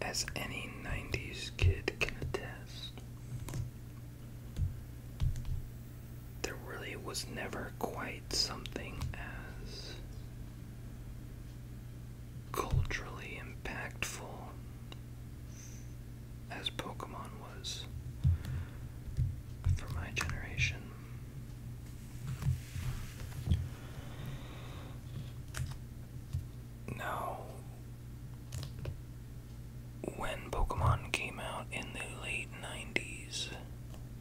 as any 90s kid can attest, there really was never quite something as culturally impactful as Pokemon was for my generation. Now, when Pokemon came out in the late 90s,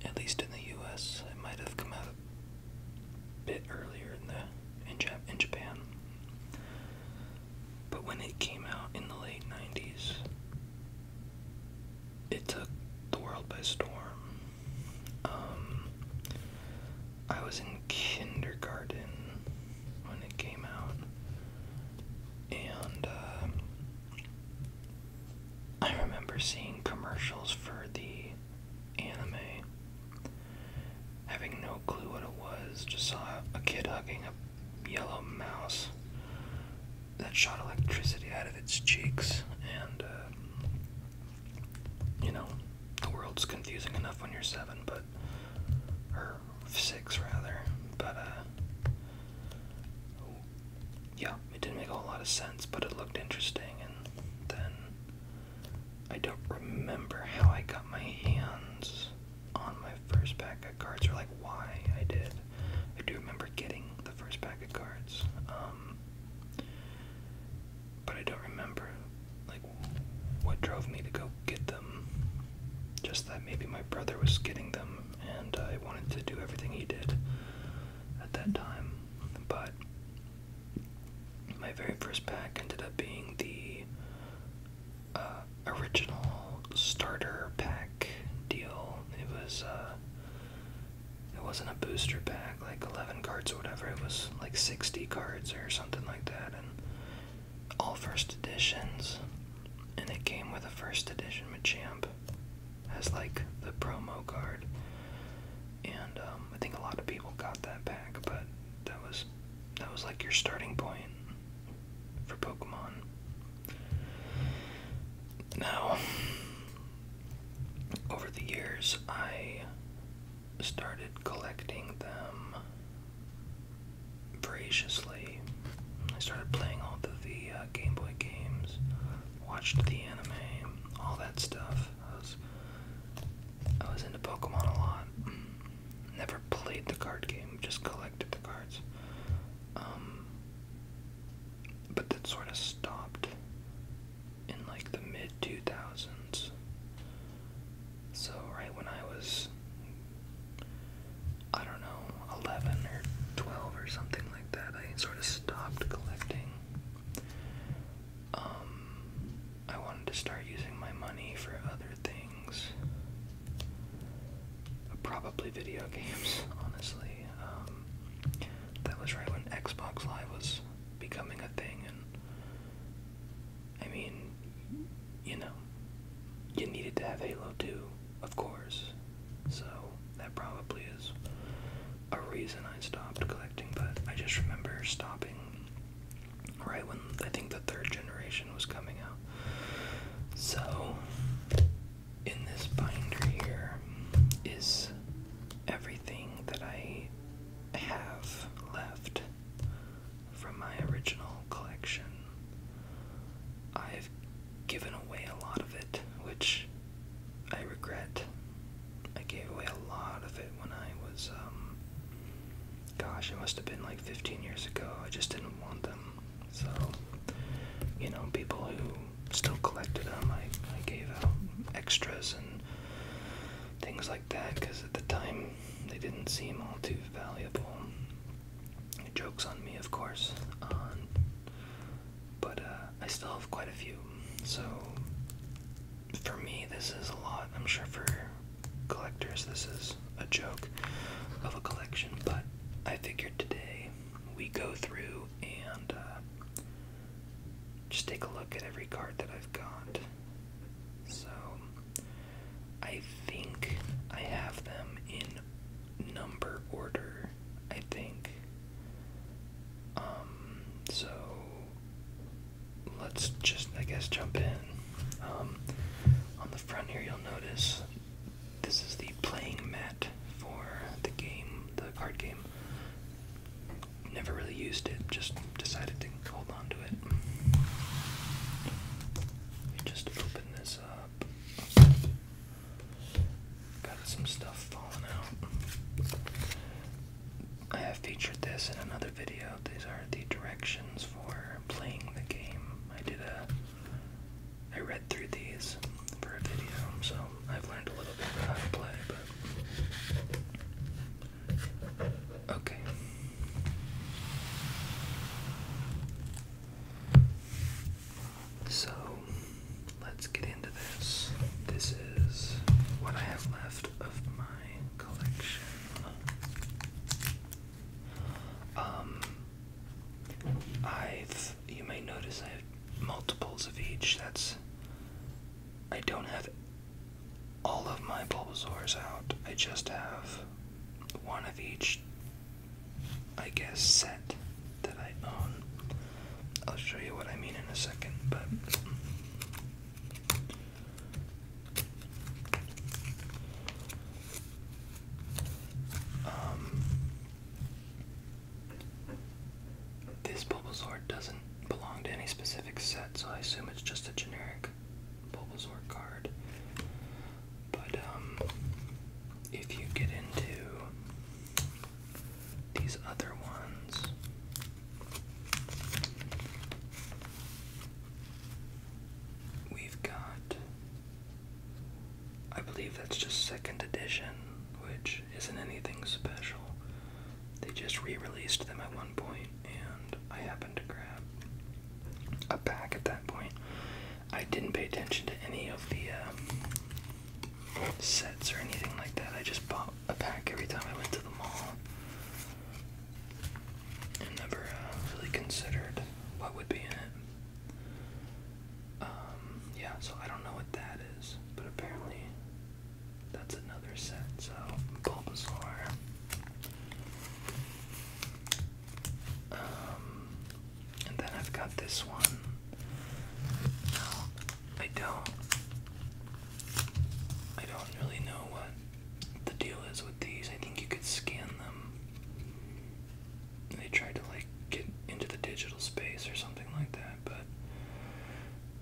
at least in the US, it might have come out a bit earlier in the in Japan. But when it came out in the late 90s, it took the world by storm. Um, I was in kindergarten when it came out, and uh, I remember seeing commercials for the anime, having no clue what it was, just saw a kid hugging a yellow mouse that shot electricity out of its cheeks, and uh, you know, the world's confusing enough when you're seven, but or six rather, but uh, yeah, it didn't make a whole lot of sense, but it looked interesting, and then I don't remember how I got my hands on my first pack of cards or like why I did. I do remember getting the first pack of cards, um, but I don't remember like what drove me to go get them. Just that maybe my brother was getting them, and I wanted to do everything he did at that time. But my very first pack ended up being the uh, original starter pack deal. It was uh, it wasn't a booster pack, like 11 cards or whatever. It was like 60 cards or something like that, and all first editions. And it came with a first edition Machamp as like the promo card. And um, I think a lot of people got that pack, but that was that was like your starting point for Pokemon. Now, over the years, I started collecting them voraciously. I started playing all the, the uh, Game Boy games, watched the anime, all that stuff. I was, I was into Pokemon a lot. Never played the card game, just collected the cards. Um, but that sort of stopped in like the mid 2000s. So, right when I was, I don't know, 11 or 12 or something like that, I sort of stopped collecting. Um, I wanted to start using my money for other things. Probably video games, honestly. Um, that was right when Xbox Live was becoming a thing, and I mean, you know, you needed to have Halo 2, of course. So that probably is a reason I stopped collecting, but I just remember stopping right when I think the third generation was coming out. So in this binder here is everything that I have left from my original collection. I've given away a lot of it, which I regret. I gave away a lot of it when I was, um, gosh, it must have been like 15 years ago. I just didn't want them. So, you know, people who still collected them. I, I gave out extras and things like that because at the time they didn't seem all too valuable. Jokes on me, of course. Um, but uh, I still have quite a few. So for me, this is a lot. I'm sure for collectors, this is a joke of a collection. But I figured today we go through and uh, just take a look at every card that I've got. So, I think I have them in number order, I think. Um, so, let's just, I guess, jump in. Um, on the front here, you'll notice this is the Playing mat for the game, the card game. Never really used it, just decided to hold on to it. just open this up. Got some stuff falling out. I have featured this in another video. These are the directions for playing the game. I did a. I read through these for a video, so I've learned a little bit how to play, but okay. So let's get into this. This is what I have left of my collection. Um, I've you may notice I have multiples of each. That's. I don't have all of my Bulbasaurs out. I just have one of each, I guess, set that I own. I'll show you what I mean in a second, but. Um, this Bulbasaur doesn't belong to any specific set, so I assume it's just a generic Bulbasaur card. But um, if you get into these other ones, we've got. I believe that's just second edition, which isn't anything special. They just re released them at one point, and I happened to grab a pack at that point. I didn't pay attention to any of the um, sets or anything like that. I just bought a pack every time I went to the mall. And never uh, really considered what would be in it. Um, yeah, so I don't know what that is, but apparently that's another set, so Bulbasaur. Um, and then I've got this one. No, I don't. I don't really know what the deal is with these. I think you could scan them. They tried to like get into the digital space or something like that, but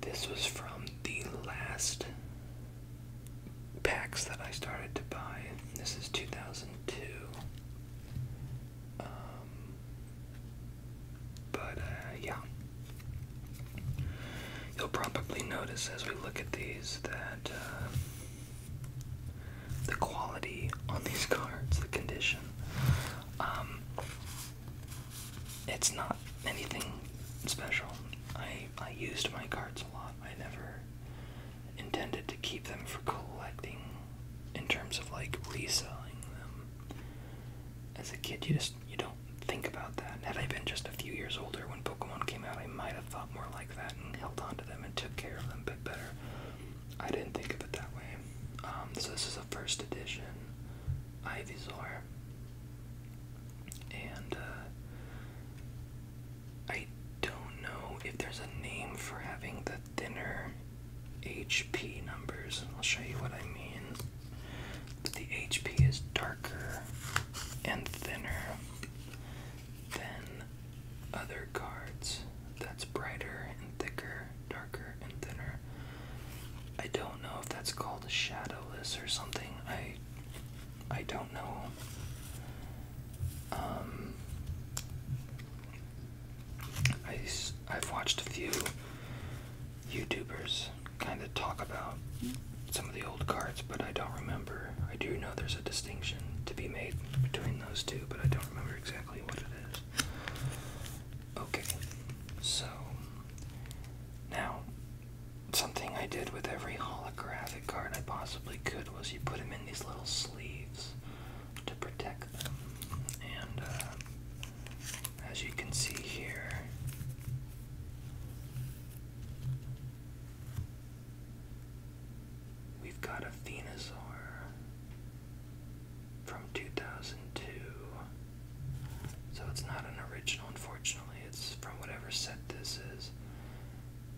this was from the last packs that I started to buy. This is 2002. Um, but uh, yeah. You'll probably notice as we look at these that uh, the quality on these cards, the condition, um, it's not anything special. I I used my cards a lot. I never intended to keep them for collecting in terms of like reselling them. As a kid you just you don't think about that. Had I been just a few years older when Pokemon came out I might have thought more like that and held on to them and took care of them a bit better. I didn't think of it that way. Um, so this is a first edition. Ivysaur. And uh, I don't know if there's a name for having the thinner HP numbers. I'll show you what I mean. But the HP is darker and thinner than other cards. That's brighter and thicker. I don't know if that's called a shadowless or something. I I don't know. Um, I, I've watched a few YouTubers kind of talk about some of the old cards, but I don't remember. I do know there's a distinction to be made between those two, but I don't remember exactly what it is. Okay, so now something I did with every holographic card I possibly could was you put them in these little sleeves to protect them. And uh, as you can see here, we've got a Venusaur from 2002. So it's not an original, unfortunately. It's from whatever set this is.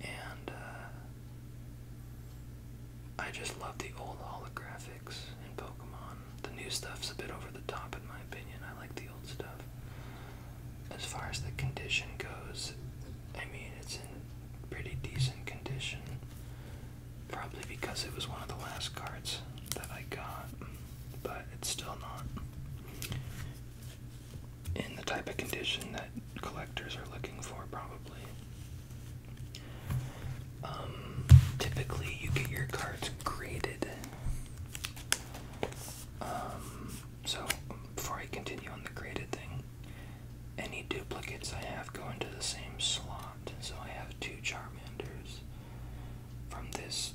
And uh, I just love the old holographics in Pokemon. The new stuff's a bit over the top, in my opinion. I like the old stuff. As far as the condition goes, I mean, it's in pretty decent condition. Probably because it was one of the last cards that I got but it's still not in the type of condition that collectors are looking for, probably. Um, typically, you get your cards graded. Um, so, before I continue on the graded thing, any duplicates I have go into the same slot. So I have two Charmanders, from this,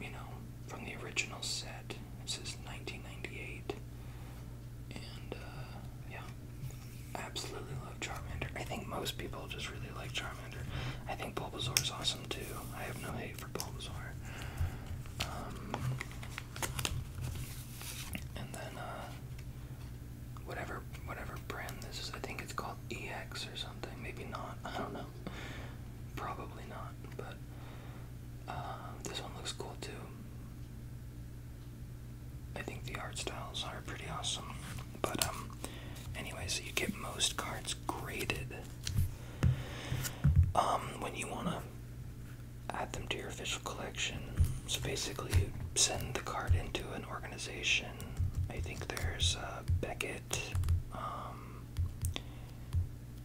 you know, from the original set. This is 1998. And, uh, yeah. I absolutely love Charmander. I think most people just really like Charmander. I think Bulbasaur is awesome too. I have no hate for Bulbasaur. Um, and then, uh, whatever, whatever brand this is, I think it's called EX or something. Maybe not. I don't know. Probably not, but uh, this one looks cool too. I think the art styles are pretty awesome. But um anyway, you get most cards graded. Um when you wanna add them to your official collection. So basically you send the card into an organization. I think there's uh Beckett, um,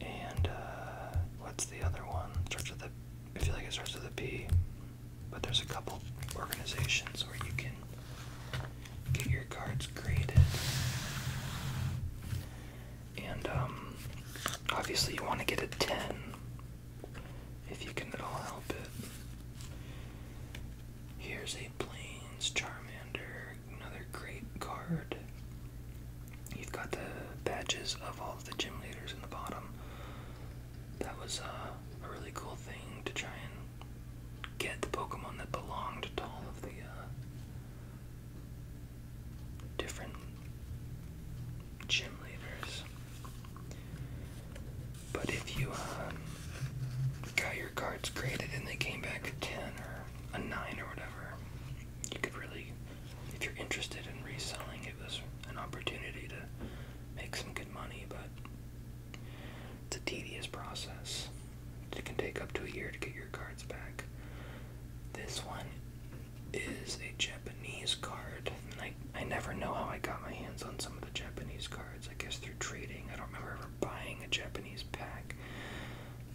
and uh, what's the other one? Starts with a, I feel like it starts with a P. But there's a couple organizations where you can get your cards graded, and um, obviously you want to get a ten if you can at all help it. Here's a Plains Charmander another great card. You've got the badges of all the gym leaders in the bottom. That was uh, a really cool thing to try and get the Pokemon that belonged to all of the uh, different gym leaders. But if you um, got your cards graded and they came back a 10 or a nine or whatever, you could really, if you're interested in reselling, it was an opportunity to make some good money, but it's a tedious process. It can take up to a year to get your cards back. This one is a Japanese card, I, I never know how I got my hands on some of the Japanese cards. I guess through trading. I don't remember ever buying a Japanese pack.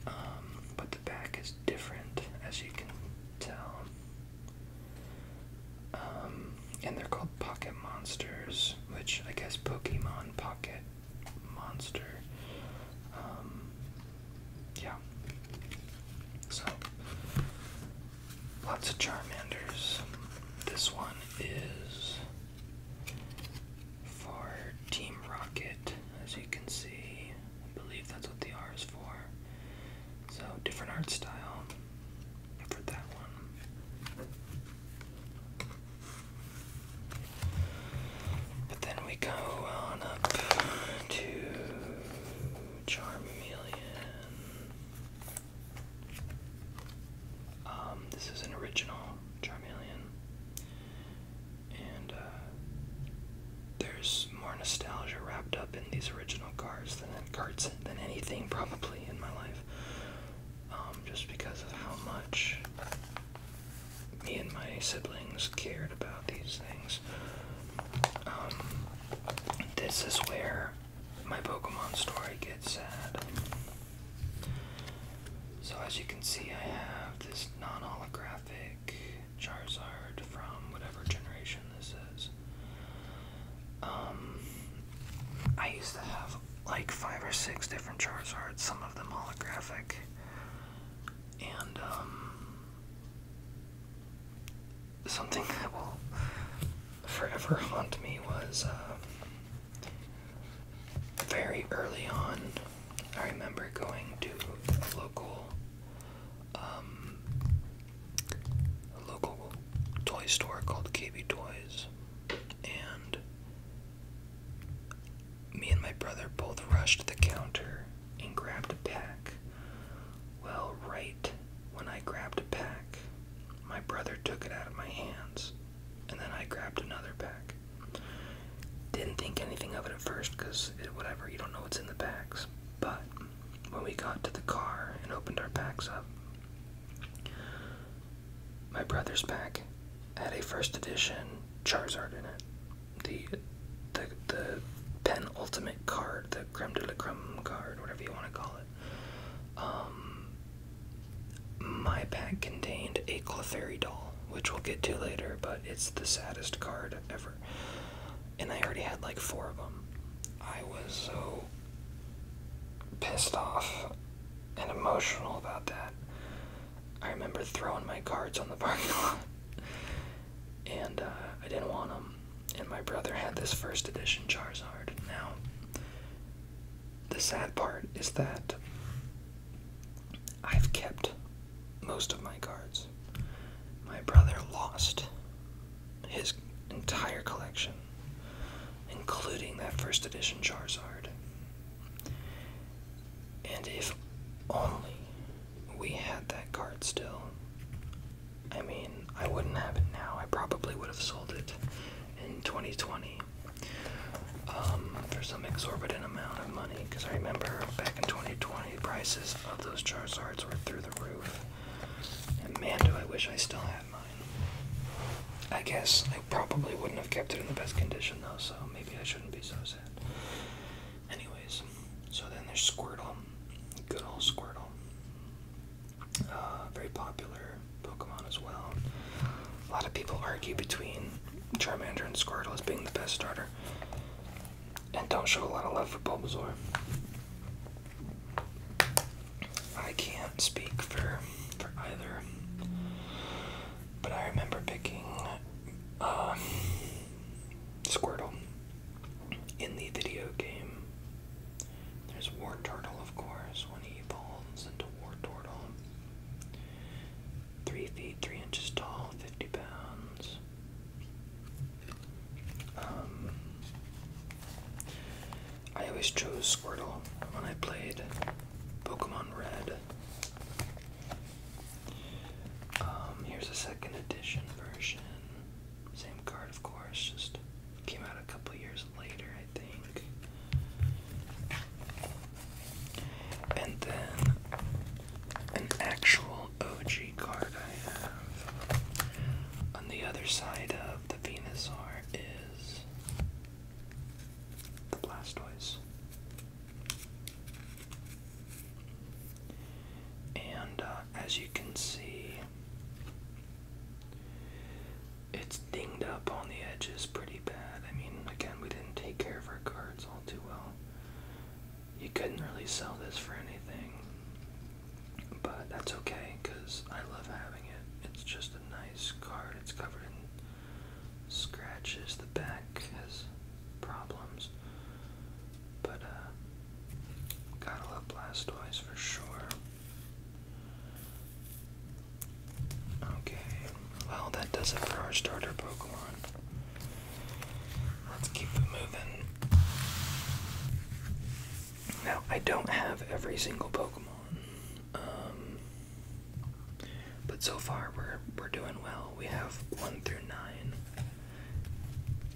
Um, but the back is different, as you can tell. Um, and they're called Pocket Monsters, which I guess Pokemon Pocket Monster. Um, yeah. So, lots of Charmanders. This one is for Team Rocket, as you can see. I believe that's what the R is for. So, different art style for that one. But then we go on up to Charmeleon. Um, this is an original Charmeleon and uh, there's more nostalgia wrapped up in these original cars than carts than anything probably in my life. Um, just because of how much me and my siblings cared about these things. Um, this is where my Pokemon story gets sad. So as you can see, I have this non-holographic Charizard from whatever generation this is. Um, I used to have like five or six different Charizards, some of them holographic, and um, something that will forever haunt me was uh, very early on I remember going to um, a local, local toy store called KB Toys, and me and my brother both rushed to the counter and grabbed a pack. Well, right when I grabbed a pack, my brother took it out of my hands, and then I grabbed another pack. Didn't think anything of it at first because whatever, you don't know what's in the packs. But when we got to the car and opened our packs up, my brother's pack had a first edition Charizard in it. The the the penultimate card, the creme de la creme card, whatever you want to call it. Um, my pack contained a Clefairy doll which we'll get to later, but it's the saddest card ever. And I already had like four of them. I was so pissed off and emotional about that. I remember throwing my cards on the parking lot, and uh, I didn't want them. And my brother had this first edition Charizard. Now, the sad part is that I've kept most of my cards. My brother lost his entire collection, including that first edition Charizard. And if only we had that card still, I mean, I wouldn't have it now. I probably would have sold it in 2020 um, for some exorbitant amount of money because I remember back in 2020 prices of those charge were through the roof. And man, do I wish I still had mine. I guess I probably wouldn't have kept it in the best condition though, so maybe I shouldn't be so sad. Anyways, so then there's Squirtle. Good old Squirtle. Uh, very popular Pokemon as well. A lot of people argue between Charmander and Squirtle as being the best starter and don't show a lot of love for Bulbasaur. I can't speak for for either. But I remember picking uh, Squirtle in the video game. There's War Turtle, of course, when he evolves into War Turtle. 3 feet 3 inches tall, 50 pounds. Um, I always chose Squirtle when I played Pokemon Red. Um, here's a second edition version. Same card, of course, just came out a couple years later, I think. And then an actual OG card I have on the other side of the Venusaur is the Blastoise. And uh, as you can see, it's dinged up on the edges pretty bad. I mean, again, we didn't take care of our cards all too well you couldn't really sell this for anything. But that's okay because I love having it. It's just a nice card. It's covered in scratches. The back has problems. But, uh, gotta love Blastoise for sure. Okay, well, that does it for our starter Pokemon. Let's keep it moving. Now, I don't have every single Pokemon, um, but so far we're we're doing well. We have one through nine.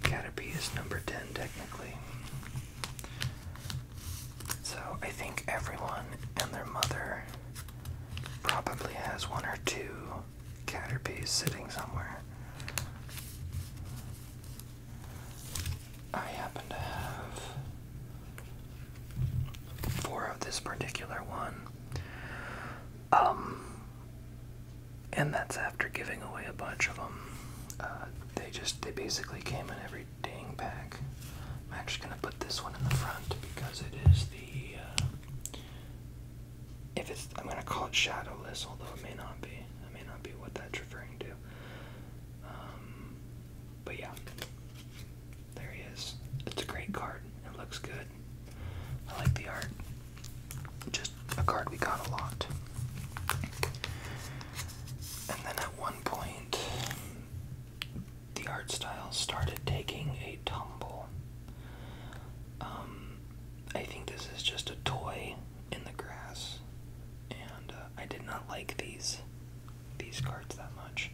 Caterpie is number ten technically. So I think everyone and their mother probably has one or two Caterpie is sitting somewhere. I happen to have four of this particular one. Um, and that's after giving away a bunch of them. Uh, they just, they basically came in every dang pack. I'm actually going to put this one in the front because it is the uh, if it's I'm gonna call it shadowless, although it may not be. It may not be what that's referring to. Um, but yeah, there he is. It's a great card. It looks good. I like the art. Just a card we got a lot. And then at one point, the art style started taking a tumble. Um, I think this is just a toy in the grass, and uh, I did not like these these cards that much.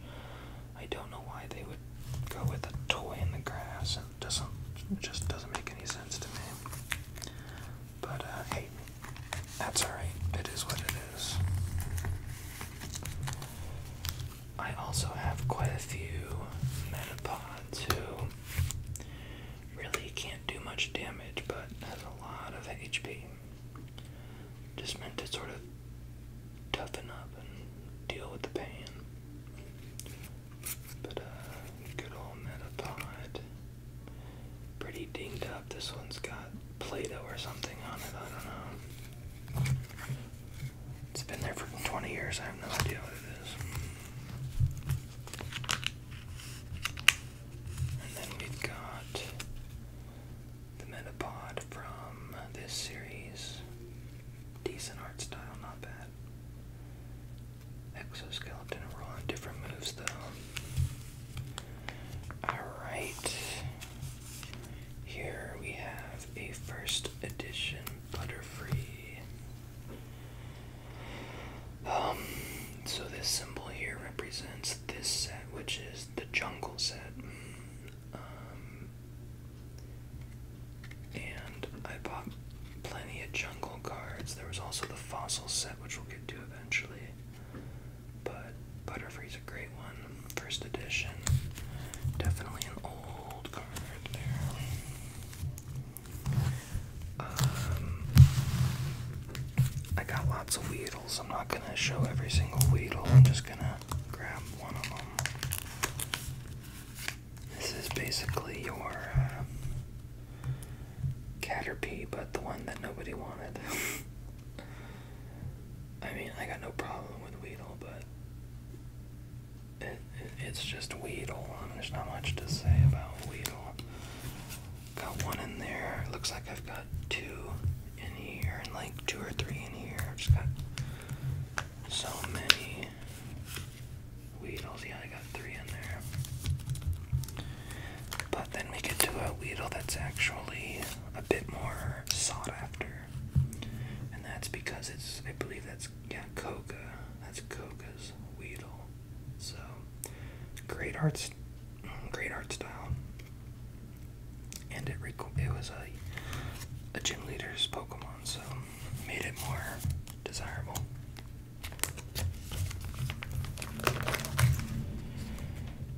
I don't know why they would go with a toy in the grass. It doesn't just doesn't make any sense to me. But uh, hey, that's all right. It is what it is. I also have quite a few metapods who really can't do much damage but has a lot of HP. Just meant to sort of toughen up and deal with the pain. But uh, good old metapod. Pretty dinged up. This one's got Play-Doh or something on it, I don't know. It's been there for 20 years. I have no idea what it is. And then we've got the Metapod from this series. Decent art style, not bad. Exoskeleton rolling different moves though. Alright. Here we have a first edition Butterfree. Um, so this symbol here represents this set, which is the jungle set. Um, and I bought plenty of jungle cards. There was also the fossil set, which we'll get to eventually. But Butterfree's a great one. First edition. Definitely an old card there. Um, I got lots of Weedles. I'm not going to show every single Weedle. I'm just going to grab one of them. This is basically your uh, Caterpie, but the one that nobody wanted. I mean, I got no problem with Weedle, but it's just Weedle. I mean, there's not much to say about Weedle. Got one in there. Looks like I've got two in here and like two or three in here. I've just got so many Weedles. Yeah, I got three in there. But then we get to a Weedle that's actually a bit more sought after. And that's because it's, I believe that's yeah, Coca. That's Coca's Weedle. So great art, great art style, and it it was a a gym leader's Pokemon, so made it more desirable.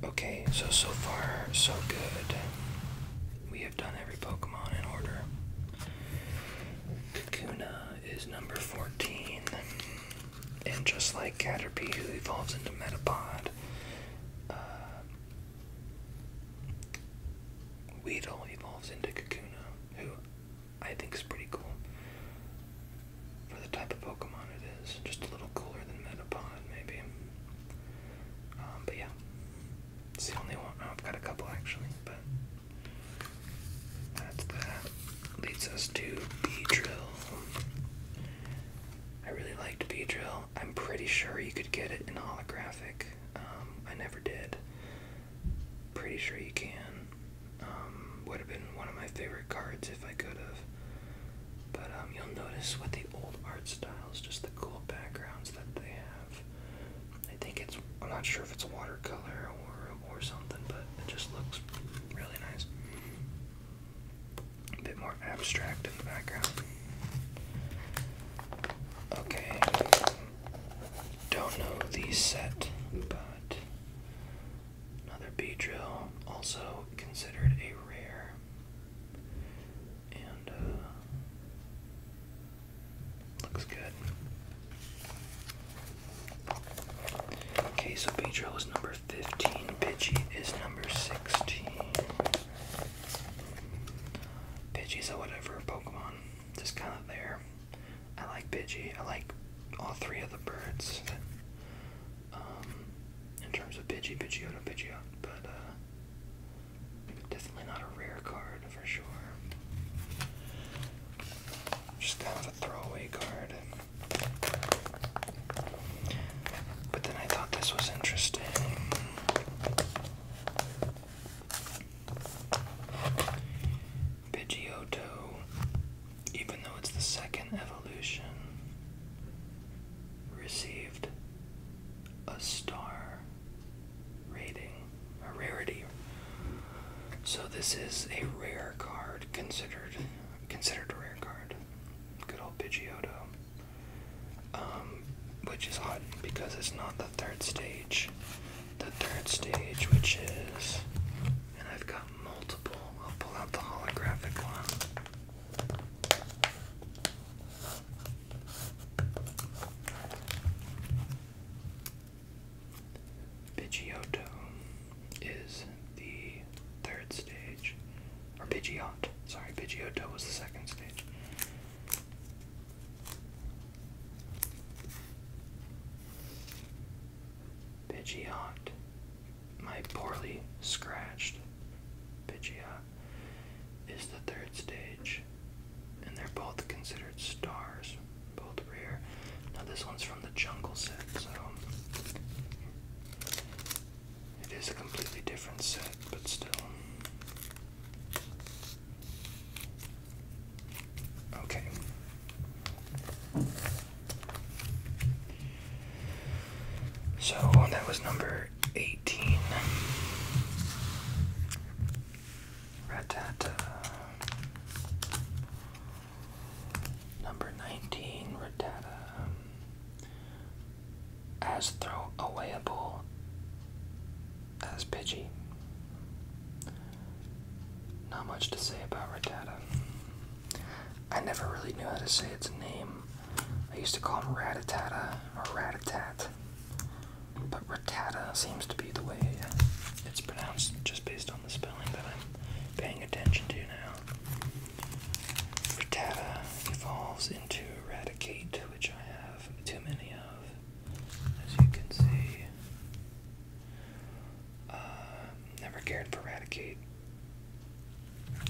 Okay, so so far so good. We have done every Pokemon in order. Kakuna is number 14. And just like Caterpie, who evolves into Metapod, uh, Weedle evolves into Kakuna, who I think is pretty cool for the type of Pokemon it is. Just a little cooler than Metapod, maybe. Um, but yeah, it's the only one. Oh, I've got a couple actually, but that's that. Leads us to B drill. I really liked B drill. I'm pretty sure you could get it in holographic. Um, I never did. Pretty sure you can. Um, would have been one of my favorite cards if I could have. But um, you'll notice with the old art styles, just the cool backgrounds that they have. I think it's I'm not sure if it's a watercolor or or something, but it just looks really nice. A bit more abstract in the background. Okay. Don't know the set, but another B drill, also considered a rare. And uh, Looks good. Okay, so Pedro is number 15. Pidgey is number 16. Pidgey's a whatever Pokemon. Just kind of there. I like Pidgey. I like all three of the birds. um, in terms of Pidgey, Pidgeotto, Pidgeot, but uh, definitely not a rare card for sure. Just kind of a throwaway card. But then I thought this was interesting. Pidgeotto, even though it's the second evolution, received a star rating, a rarity. So this is a rare card, considered considered a rare card. Good old Pidgeotto. Um, which is hot because it's not the third stage. The third stage, which is, and I've got multiple. I'll pull out the holographic one. Pidgeotto is the third stage. Or Pidgeot. Sorry, Pidgeotto was the second stage. Pidgeot. My poorly scratched Pidgeot is the third stage and they're both considered stars, both rare. Now this one's from the jungle set, so it is a completely different set, but still. Okay. So that was number 18. Ratata. Uh, number 19, Rattata. Um, as throwawayable as Pidgey. Not much to say about Rattata. I never really knew how to say its name. I used to call him Ratatata or Ratatat. But Ratata seems to be the way it's pronounced just based on the spelling that I'm paying attention to now. Rattata evolves into Raticate, which I have too many of, as you can see. Uh, never cared for Raticate.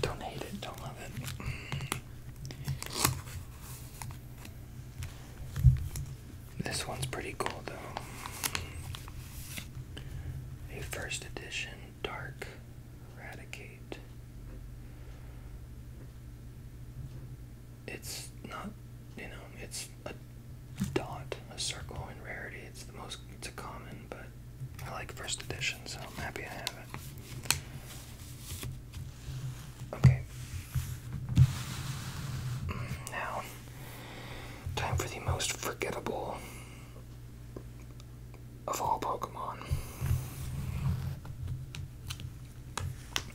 Don't hate it, don't love it. This one's pretty cool though. A first edition dark Eradicate. It's not, you know, it's a dot, a circle in rarity. It's the most, it's a common, but I like first edition, so I'm happy I have it. Okay. Now, Time for the most forgettable of all Pokemon.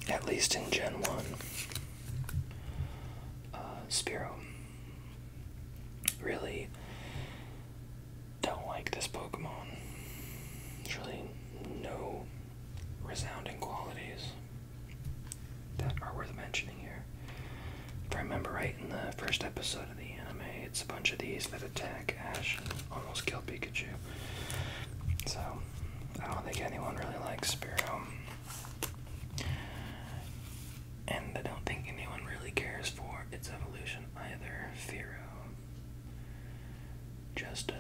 At least in Gen 1. Uh, Spiro. Really don't like this Pokemon. It's really no resounding qualities that are worth mentioning here. If I remember right, in the first episode of the anime, it's a bunch of these that attack Ash and almost kill Pikachu. So, I don't think anyone really likes Spearow. And I don't think anyone really cares for its evolution either. Fearow. Just a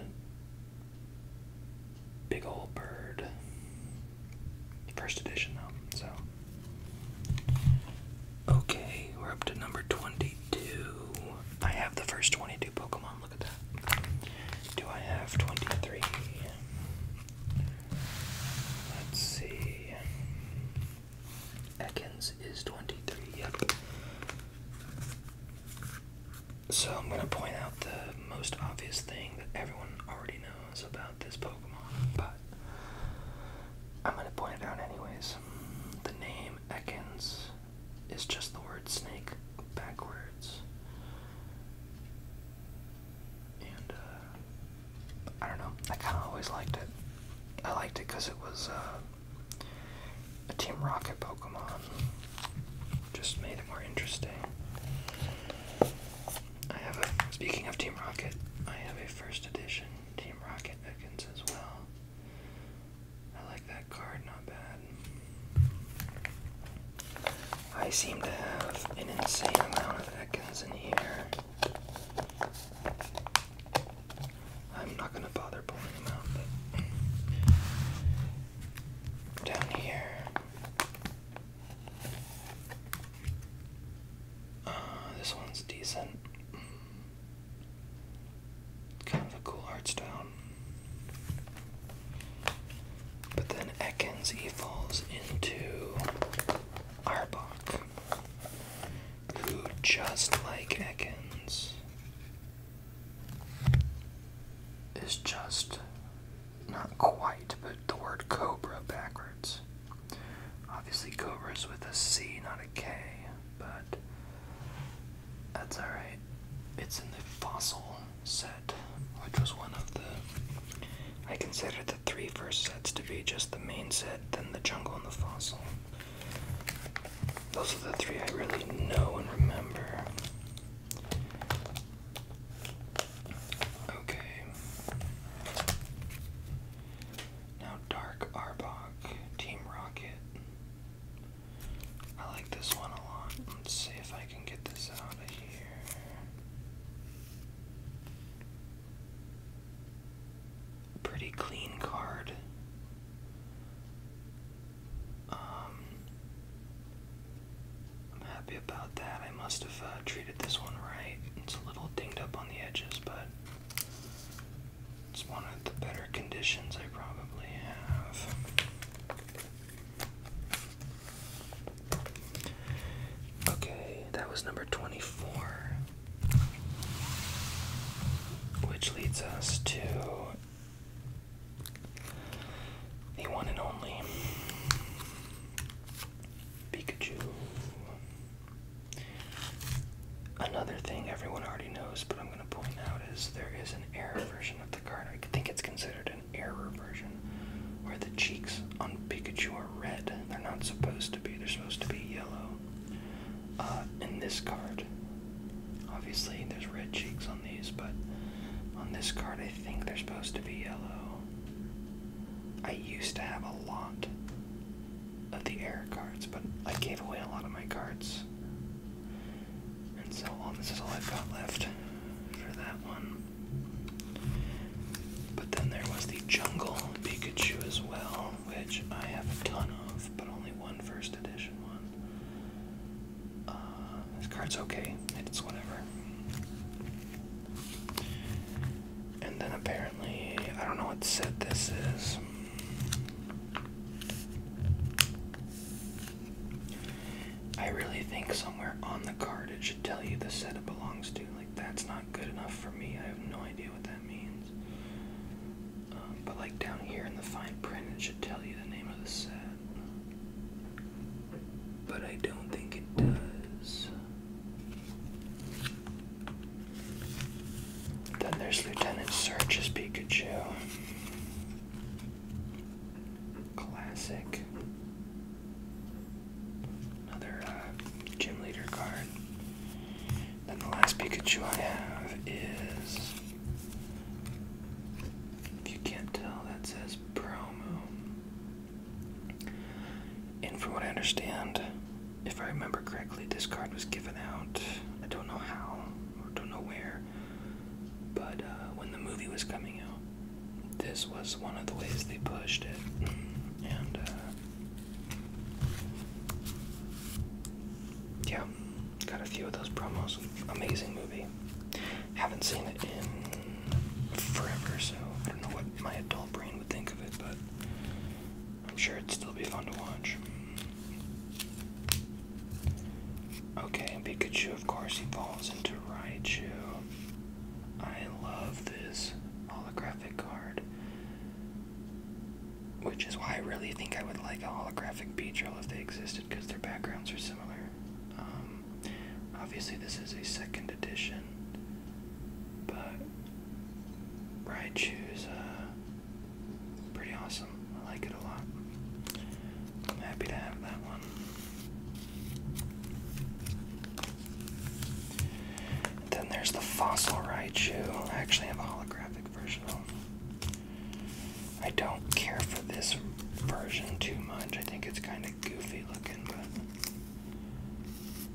Big Old Bird. First edition, though, so. Okay, we're up to number 22. I have the first 22 Pokemon, look at that. Do I have 23? Let's see. Ekans is 23, yep. So I'm going to point out the most obvious thing that everyone already knows about this Pokemon, but I'm gonna point it out anyways. The name Ekans is just the word snake backwards. And, uh, I don't know, I kinda always liked it. I liked it because it was, uh, a Team Rocket Pokemon. Just made it more interesting speaking of Team Rocket, I have a first edition Team Rocket Ekans as well. I like that card, not bad. I seem to have an insane amount of Ekans in here. I'm not gonna bother pulling them out, but down here uh, this one's decent. Kind of a cool art style. But then Ekans, falls into Arbok, who just like Ekans is just not quite, but the word cobra backwards. Obviously, cobra is with a C, not a K, but that's alright. It's in the fossil set, which was one of the. I consider the three first sets to be just the main set, then the jungle, and the fossil. Those are the three I really know and remember. Okay. Now Dark Arbok, Team Rocket. I like this one a lot. Let's see if I can get this out of here. Pretty clean card. Um, I'm happy about that. I must have uh, treated this one right. It's a little dinged up on the edges, but it's one of the better conditions I probably have. Okay, that was number 24. Which leads us to the one and only Pikachu. Another thing everyone already knows, but I'm going to point out, is there is an error version of the card. I think it's considered an error version, where the cheeks on Pikachu are red. They're not supposed to be, they're supposed to be yellow. Uh, in this card, obviously there's red cheeks on these, but on this card I think they're supposed to be yellow. I used to have a lot of the air cards, but I gave away a lot of my cards. And so this is all I've got left for that one. But then there was the Jungle Pikachu as well, which I have a ton of, but only one first edition one. Uh, this card's okay, it's whatever. And then apparently, I don't know what set this is. I really think somewhere on the card it should tell you the set it belongs to. Like, that's not good enough for me. I have no idea what that means. Um, but, like, down here in the fine print, it should tell you the name of the set but I don't think it does. Then there's Lieutenant Surge's Pikachu. Classic. Another uh, gym leader card. Then the last Pikachu I have is. If you can't tell, that says promo. And from what I understand, if I remember correctly, this card was given out. I don't know how or don't know where, but uh, when the movie was coming out, this was one of the ways they pushed it. And uh, yeah, got a few of those promos. Amazing movie. Haven't seen it in forever, so I don't know what my adult brain would think of it, but I'm sure it'd still be fun to watch. Okay, Pikachu, of course, he falls into Raichu. I love this holographic card. Which is why I really think I would like a holographic drill if they existed, because their backgrounds are similar. Um, obviously, this is a second edition again. But Raichu's uh, pretty awesome. I like it a lot. I'm happy to have that one. then there's the fossil Raichu. I actually have a holographic version of I don't care for this version too much. I think it's kind of goofy looking, but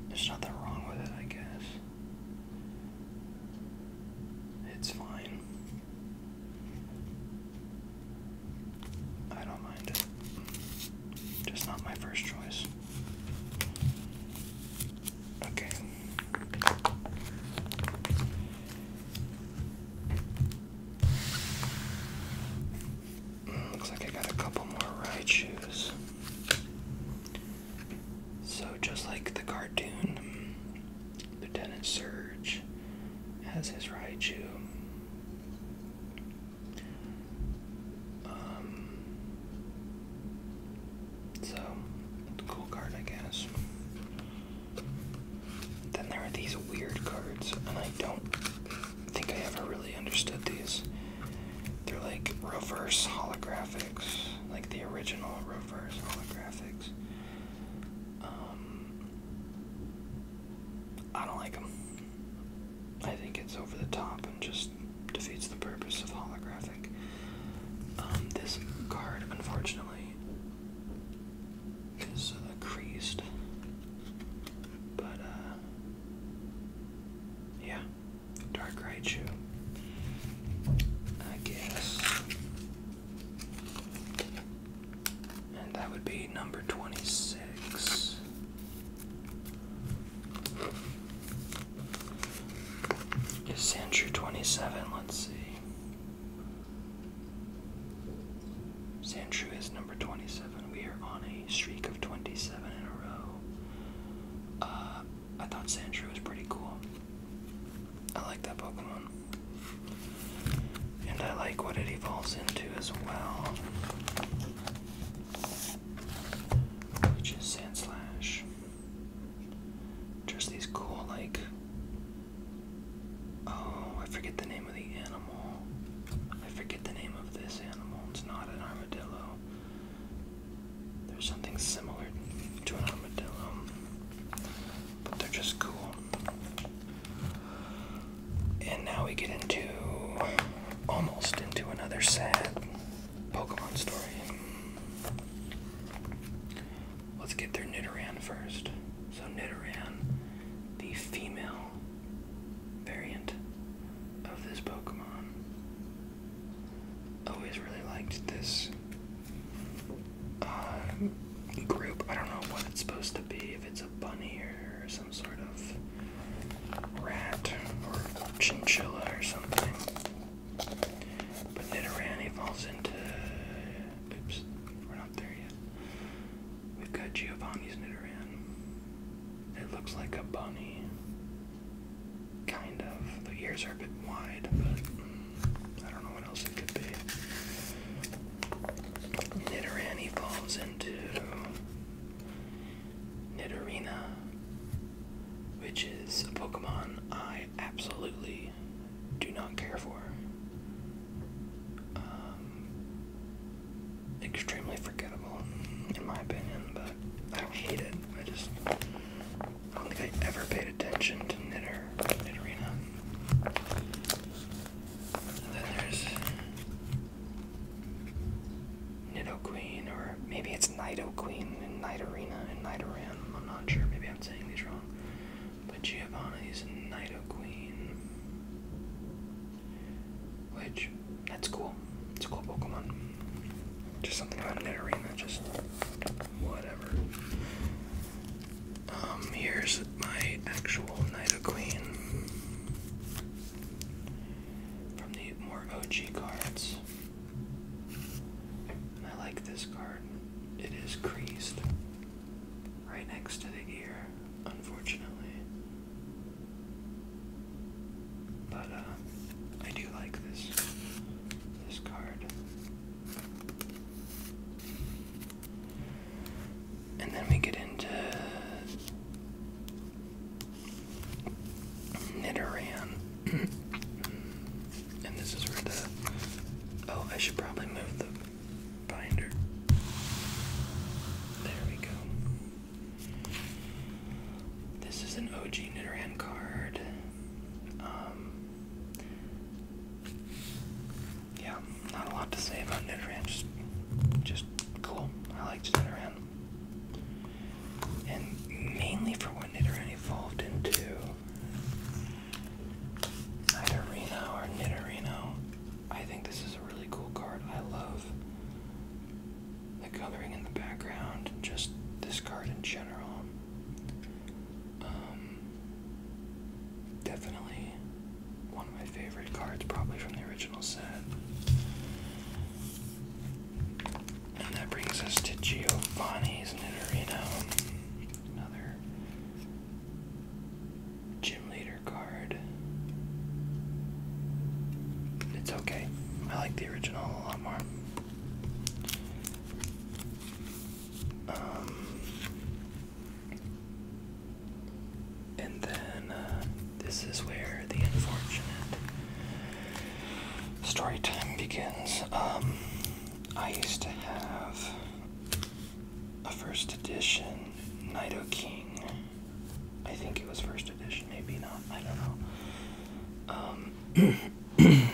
there's nothing wrong with it, I guess. It's fine. I don't mind it. Just not my first choice. Okay. Looks like I got a couple more ride So, just like the cartoon, Lieutenant Surge has his Raiju. Um, so, cool card, I guess. Then there are these weird cards, and I don't I think I ever really understood these. They're like reverse holographics, like the original reverse holographics. Um, I don't like them. I think it's over the top and just defeats the purpose of holographic. Um, this card, unfortunately, is uh, creased, but uh, yeah, Dark shoe. I guess. And that would be number 26. Is 27? Let's see. Sandshrew is number 27. We are on a streak of 27 in a row. Uh, I thought Sandshrew was pretty cool. I like that Pokemon. And I like what it evolves into as well. Which is Sandslash. Just these cool, like. Oh, I forget the name of the animal. I forget the name of this animal. It's not an armadillo. There's something similar to an armadillo, but they're just cool. And now we get into almost into another sad Pokemon story. Let's get through Nidoran first. So, Nidoran, the female variant of this Pokemon, always really liked this uh, group. I don't know what it's supposed to be, if it's a bunny or some sort of rat or chinchilla or something. But Nidorani falls into. Oops, we're not there yet. We've got Giovanni's Nidoran. It looks like a bunny. Kind of. The ears are a bit wide, but I don't know what else it could be. Nidorani falls into Nidorina, which is a Pokemon I absolutely do not care for. Um, extremely forgettable, in my opinion, but I don't hate it. I just I don't think I ever paid attention to knitter knitterina. And then there's Nido Queen, or maybe it's Nido Queen and Night and Night I'm not sure. Maybe I'm saying these wrong. But Giovanni's Nido Queen, which that's cool. It's a cool Pokemon. Just something about an arena, just whatever. Um, here's my actual Nido Queen from the more OG cards. I like this card. It is creased right next to the ear, unfortunately. But uh, I do like this this card. And then we get into Nidoran. and this is where the oh, I should probably move the binder. There we go. This is an OG Nidoran card. Um, yeah, not a lot to say about Nidoran. Just, just cool. I liked Nidoran. And mainly for what Nidoran evolved into. Nidorino or Nidorino. I think this is a really cool card. I love the coloring in the background, just this card in general. Um, definitely one of my favorite cards, probably from the original set. And that brings us to Giovanni's Nidorino, another gym leader card. It's okay. I like the original a lot more. Um, and then uh, this is where the unfortunate story time begins. Um, I used to have a first edition Nido King. I think it was first edition, maybe not. I don't know. Um, I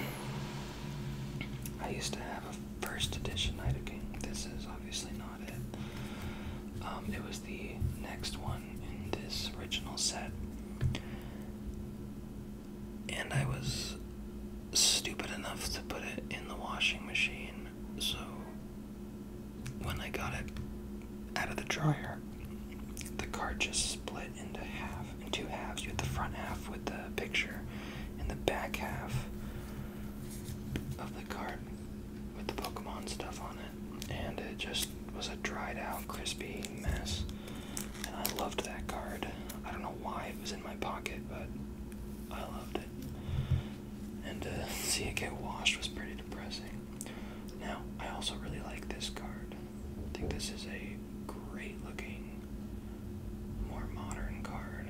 used to have a first edition Night of King. This is obviously not it. Um, it was the next one in this original set. And I was stupid enough to put it in the washing machine, so when I got it out of the dryer, the card just split into half, in two halves. You had the front half with the picture, and the back half of the card with the Pokemon stuff on it. And it just was a dried out, crispy mess. And I loved that card. I don't know why it was in my pocket, but I loved it. And to see it get washed was pretty depressing. Now, I also really like this card. I think this is a great looking, more modern card.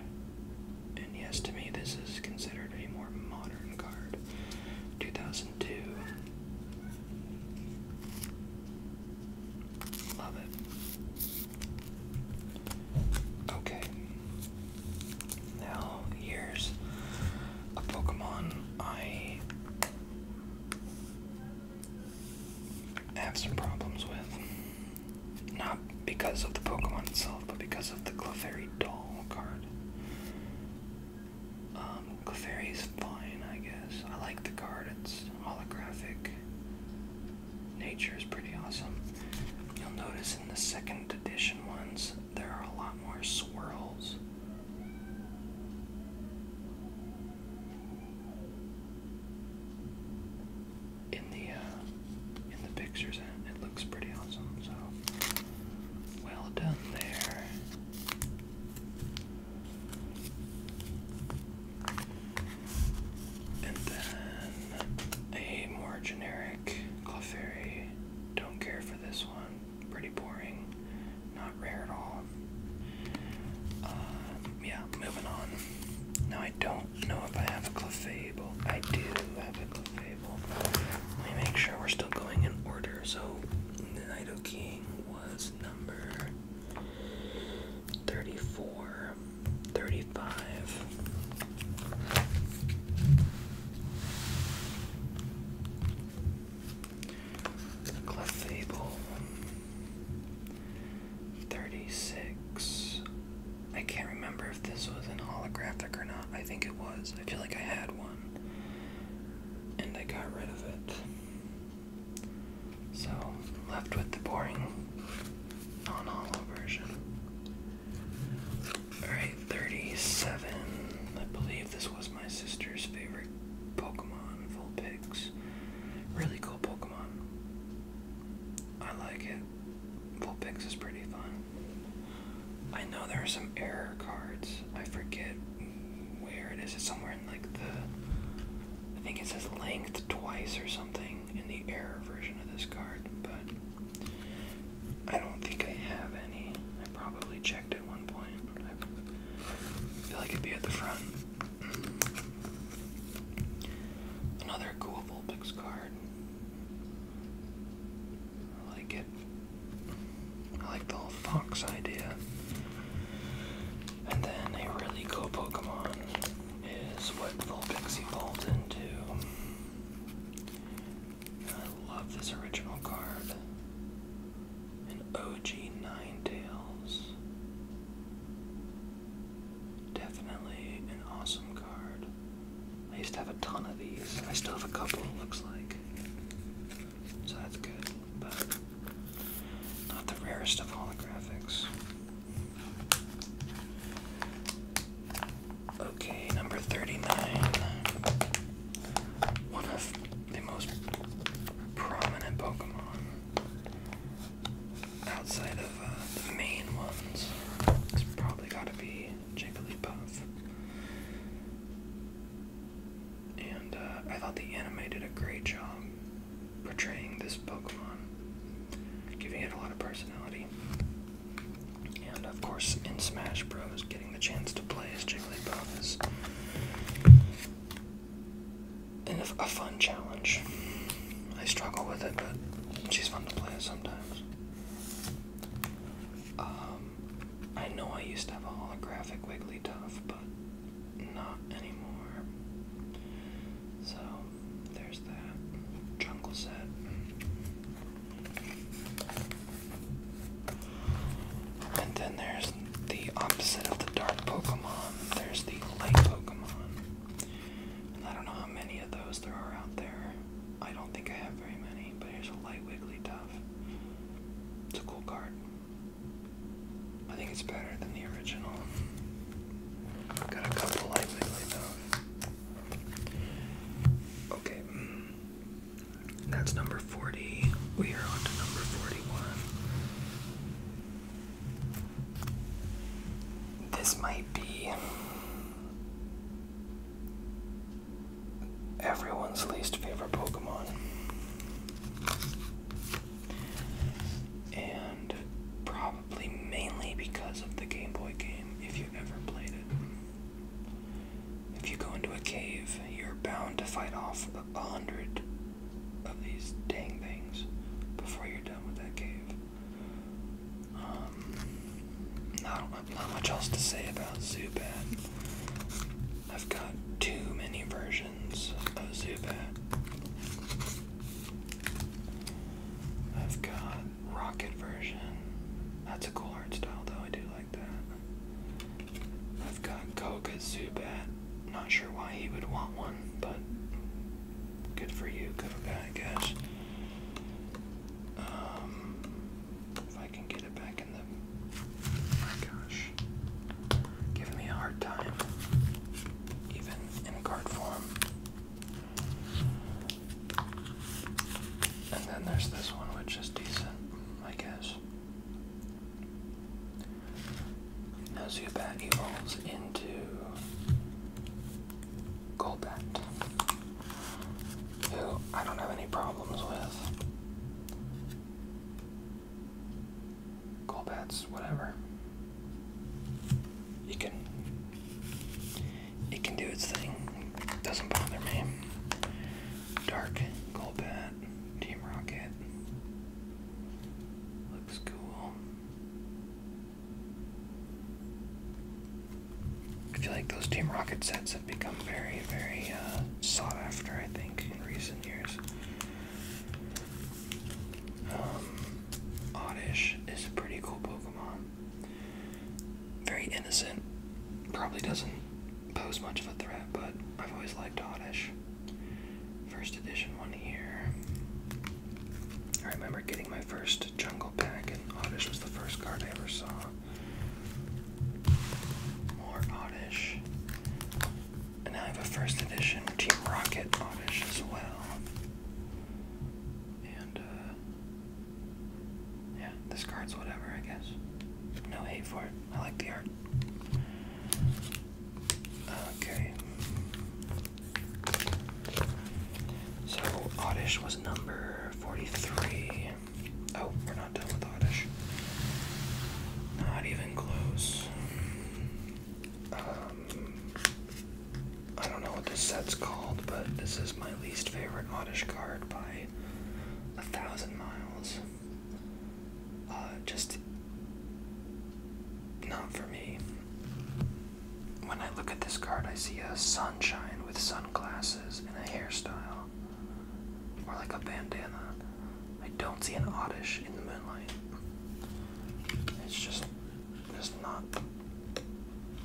And yes, to me, this is considered a more modern card. 2002. Love it. Okay. Now, here's a Pokemon I I have some problems with. Not because of the Pokemon itself, but because of the Clefairy doll card. Um, Clefairy's fine, I guess. I like the card, it's holographic. Nature is pretty awesome. You'll notice in the second edition ones, there are a lot more swirls in the uh, in the pictures it looks pretty awesome. So well done there. And then a more generic Clefairy. Don't care for this one. Pretty boring. Not rare at all. Um, yeah, moving on. Now I don't know if I have a Clefable. I do have a Clefable. Let me make sure we're still going in order. So, the Nido King was number 34, 35. Clefable. 36. I can't remember if this was an holographic or not. I think it was. I feel like I had one. And I got rid of it. So, left with the boring non holo version. Alright, 37. I believe this was my sister's favorite Pokemon, Vulpix eggs. Really cool Pokemon. I like it. Full Vulpix is pretty fun. I know there are some error cards. I forget where it is. It's somewhere in like the. I think it says length twice or something in the error version of this card, but I don't think I have any. I probably checked at one point. I feel like it'd be at the front. Another cool Vulpix card. I like it. I like the whole fox idea. And then a really cool Pokemon is what Vulpix evolved into. I love this original card. An OG Nine Tails. Definitely an awesome card. I used to have a ton of these. I still have a couple, it looks like. So that's good, but not the rarest of holographics. Okay, number 39. One of the most prominent Pokemon. Outside of uh, the main ones, it's probably got to be Jigglypuff. And uh, I thought the anime did a great job portraying this Pokemon, giving it a lot of personality. And of course, in Smash Bros., getting the chance to play as Jigglypuff is and a, fun challenge. I struggle with it, but she's fun to play with sometimes. Um, I know I used to have a holographic Wigglytuff, but not anymore. So, there's that jungle set. And then there's the opposite of the dark Pokemon. There's the light Pokemon. And I don't know how many of those there are out there. I don't think I have very many, but here's a light Wigglytuff. It's a cool card. I think it's better than the original. I've got a couple light Wigglytuff. Okay. That's number 40. We are on to number 41. This might be everyone's least favorite Pokemon. And probably mainly because of the Game Boy game, if you ever played it. If you go into a cave, you're bound to fight off a hundred of these dang things before you're done with that cave. Um, not, not much else to say about Zubat. I've got too many versions of Zubat. I've got Rocket version. That's a cool art style though, I do like that. I've got Koga Zubat not sure why he would want one, but good for you, good guy, I guess. Um, if I can get it back in the. Oh my gosh. Giving me a hard time, even in card form. And then there's this one, which is decent, I guess. Now Zubat evolves into Golbat, who I don't have any problems with. Golbats, whatever. You can it can do its thing. doesn't bother me. Dark Golbat, Team Rocket. Looks cool. I feel like those Team Rocket sets have become very, very uh, sought after, I think, in recent years. Um, Oddish is a pretty cool Pokemon. Very innocent. Probably doesn't pose much of a threat, but I've always liked Oddish. First edition one here. I remember getting my first jungle pack, and Oddish was the first card I ever saw. More Oddish. And now I have a first edition Team Rocket Oddish as well. And, uh, yeah, this card's whatever, I guess. No hate for it. I like the art. Okay. So Oddish was number 43. Oh, we're not done with Oddish. Not even close. Um, I don't know what this set's called, but this is my least favorite Oddish card by a thousand miles. Uh, just not for me. When I look at this card, I see a sunshine with sunglasses and a hairstyle, or like a bandana. I don't see an oddish in the moonlight. It's just, just not,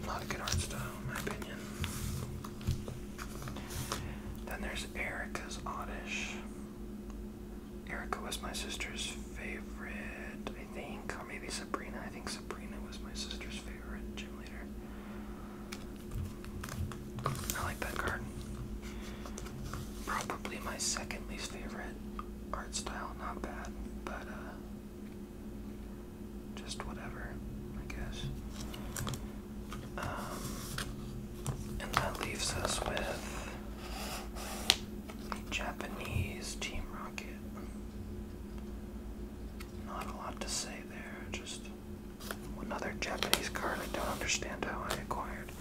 not a good art style, in my opinion. Then there's Erica's oddish. Erica was my sister's favorite, I think, or maybe Sabrina. I think Sabrina was my sister's favorite gym leader. I like that card. Probably my second least favorite art style. Not bad, but uh, just whatever, I guess. Um, and that leaves us with Japanese Team Rocket. Not a lot to say there, just another Japanese card I don't understand how I acquired.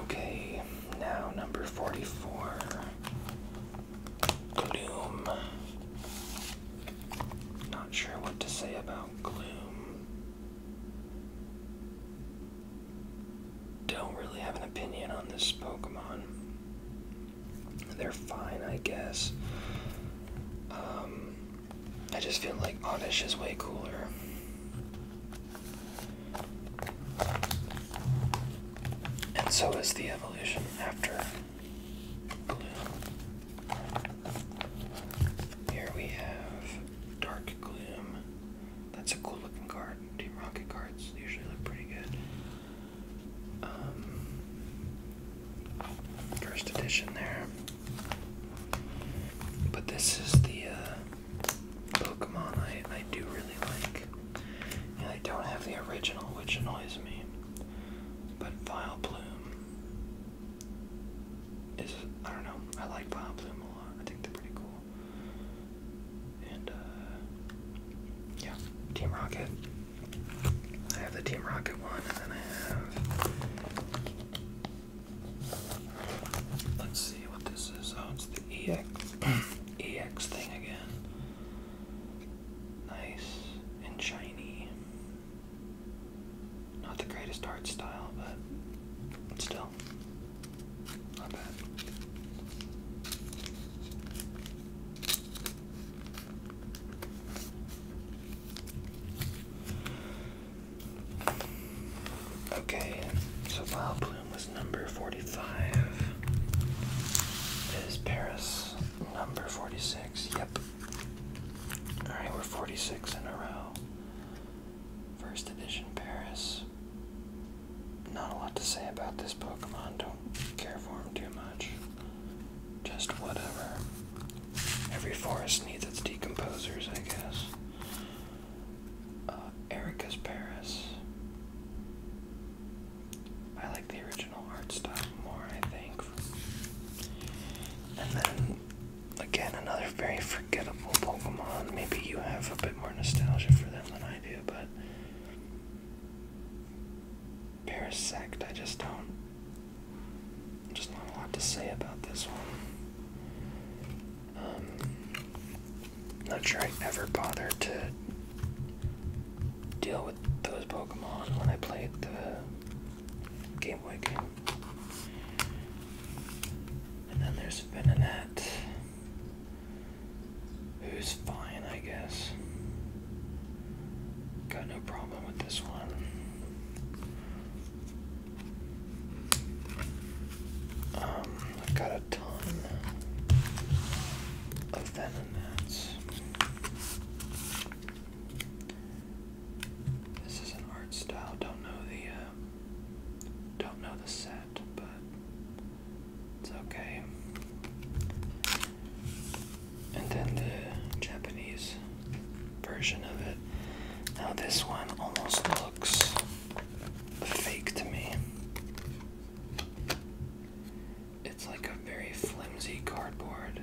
Okay, now number 44. Gloom. Not sure what to say about Gloom don't really have an opinion on this Pokemon. They're fine, I guess. Um, I just feel like Oddish is way cooler. And so is the evolution after blue. Here we have Dark Gloom. That's a cool looking card. Team Rocket cards usually look pretty good. Um, first edition there. But this is the uh, Pokemon I, I do really like. And I don't have the original, which annoys me. But Vile Plume is, I don't know, I like Vile Plume a lot. I think they're pretty cool. And uh, yeah, Team Rocket. I have the Team Rocket one, and then I have. Let's see what this is. Oh, it's the EX EX thing again. Nice and shiny. Not the greatest art style, but still Okay, so wild Bloom was number 45. Is Paris number 46? Yep. Alright, we're 46 in a row. First edition Paris. Not a lot to say about this Pokemon, don't care for him too much. Just whatever. Every forest needs its decomposers, I guess. Uh, Erica's Paris. I like the original art style more, I think. And then again, another very forgettable Pokemon. Maybe you have a bit more nostalgia for them than I do, but. Parasect, I just don't. Just not a lot to say about this one. Um, not sure I ever bothered to deal with those Pokemon when I played the Game Boy game. And then there's Venet, who's fine, I guess. Got no problem with this one. Um, I've got a ton of Beninattes. This is an art style, don't know the. Uh, them. Don't know the set, but it's okay. And then the Japanese version of it. Now, this one almost looks fake to me. It's like a very flimsy cardboard.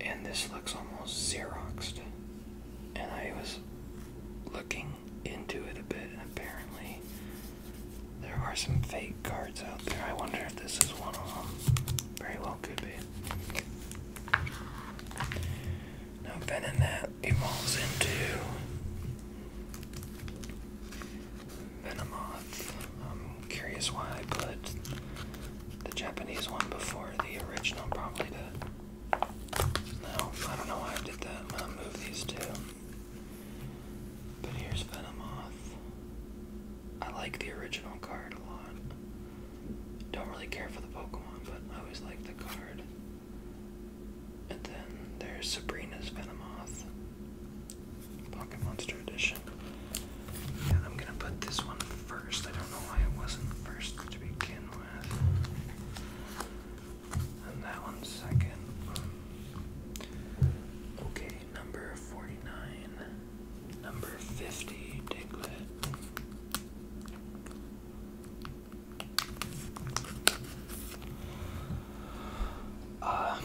And this looks almost Xeroxed. And I was looking into it a bit, and apparently there are some fake cards out there. I wonder if this is one of them. Very well could be. Now, Venonat evolves into Venomoth. I'm curious why I put the Japanese one before the original, probably to now, I don't know why I did that. I'm gonna move these two. But here's Venomoth. I like the original card a lot. Don't really care for the Pokemon, but I always like the card. And then there's Sabrina's Venomoth. Pocket Monster Edition. And I'm gonna put this one first. I don't know why it wasn't first to begin with on that one second. Okay, number 49, number 50, Diglett. Uh,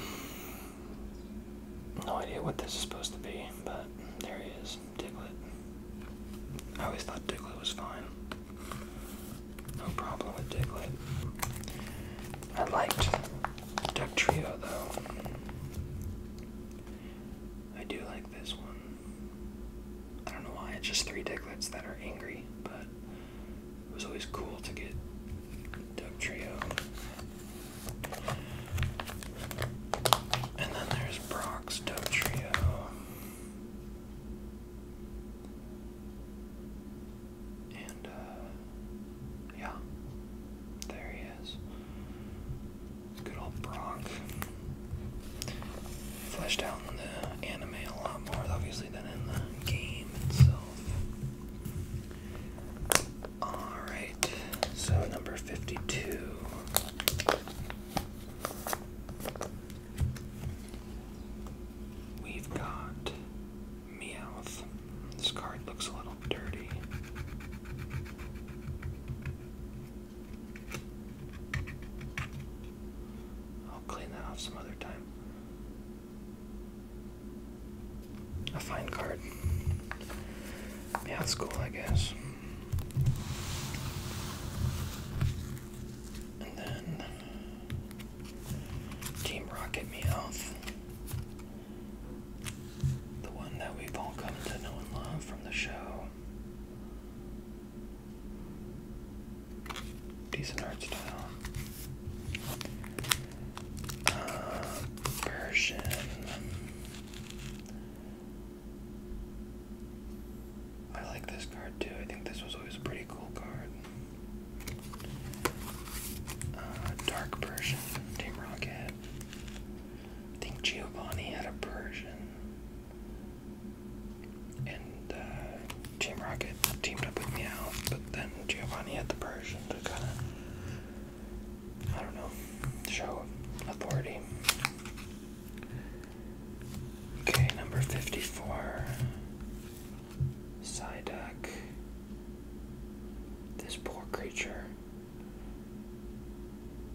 no idea what this is supposed to be, but there he is, Diglett. I always thought Diglett was fine. No problem with Diglett. I liked Duck Trio though. I do like this one. I don't know why, it's just three Diglets that are angry, but it was always cool to get Duck Trio. And then there's Brock's Dope Trio. And, uh, yeah, there he is. Good old Brock. Fleshed out in the anime a lot more, obviously, than in the game itself. Alright, so number 52. We've got Meowth. This card looks a little dirty. I'll clean that off some other time. A fine card. Yeah, that's cool, I guess. And then Team Rocket Me Health. The one that we've all come to know and love from the show. Decent art style. Uh, Persian. I like this card too. I think this was always a pretty cool card. Uh, Dark Persian, Team Rocket. I think Giovanni had a Persian. And uh, Team Rocket teamed up with Meow, but then Giovanni had the Persian to kind of, I don't know, show authority. Okay, number 54. Psyduck. This poor creature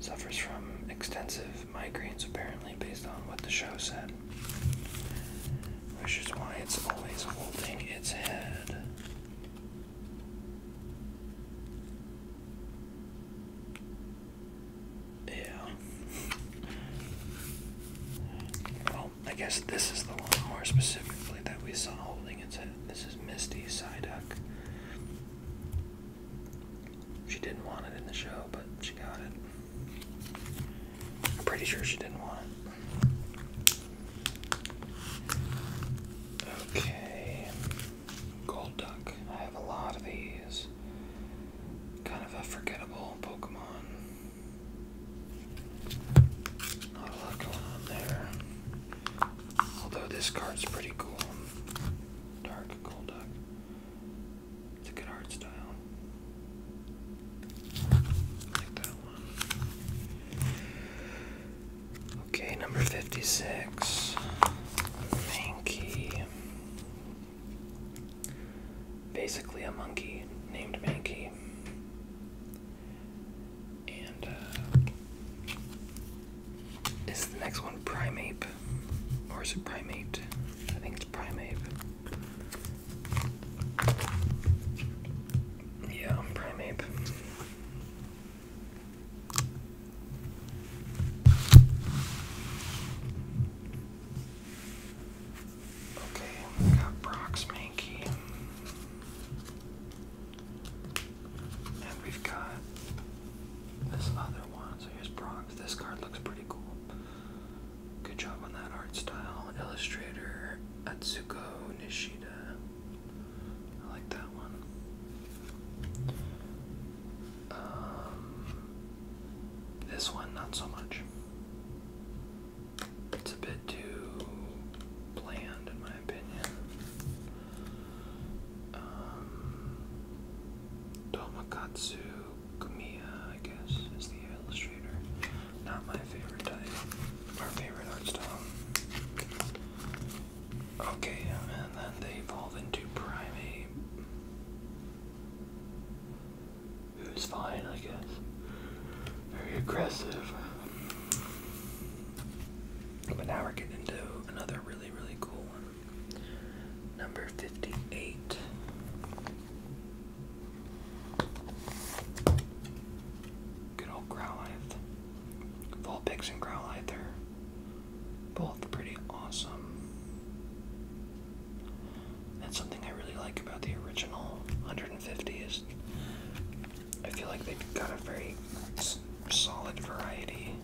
suffers from extensive migraines, apparently, based on what the show said. Which is why it's always holding its head. Yeah. Well, I guess this is the one more specifically that we saw holding its head. This is Misty Psyduck. She didn't want it in the show, but she got it. I'm pretty sure she didn't want it. Okay. Gold Duck. I have a lot of these kind of a forgettable Pokemon. Not a lot going on there. Although this card's pretty cool. Dark Golduck. It's a good art style. like that one. Okay, number 56. Mankey. Basically, a monkey named Mankey. And uh, is the next one Primeape? Or is it Primate? I think it's primate. Yeah, Primeape. Okay, we got Brock's Mankey. And we've got this other one. So here's Brock's. This card looks pretty cool. Good job on that art style. Illustrator Atsuko Nishida. I like that one. Um, this one, not so much. It's a bit too bland, in my opinion. Tomokatsu um, Tomakatsu Kumiya, I guess, is the illustrator. Not my favorite type. Our favorite art style. Okay, and then they evolve into Prime it was fine, I guess. Very aggressive. But now we're getting into another really, really cool one. Number 58. Good old Growlithe. Vulpix and Growlithe are both pretty awesome. That's something I really like about the original 150 is I feel like they've got a very solid variety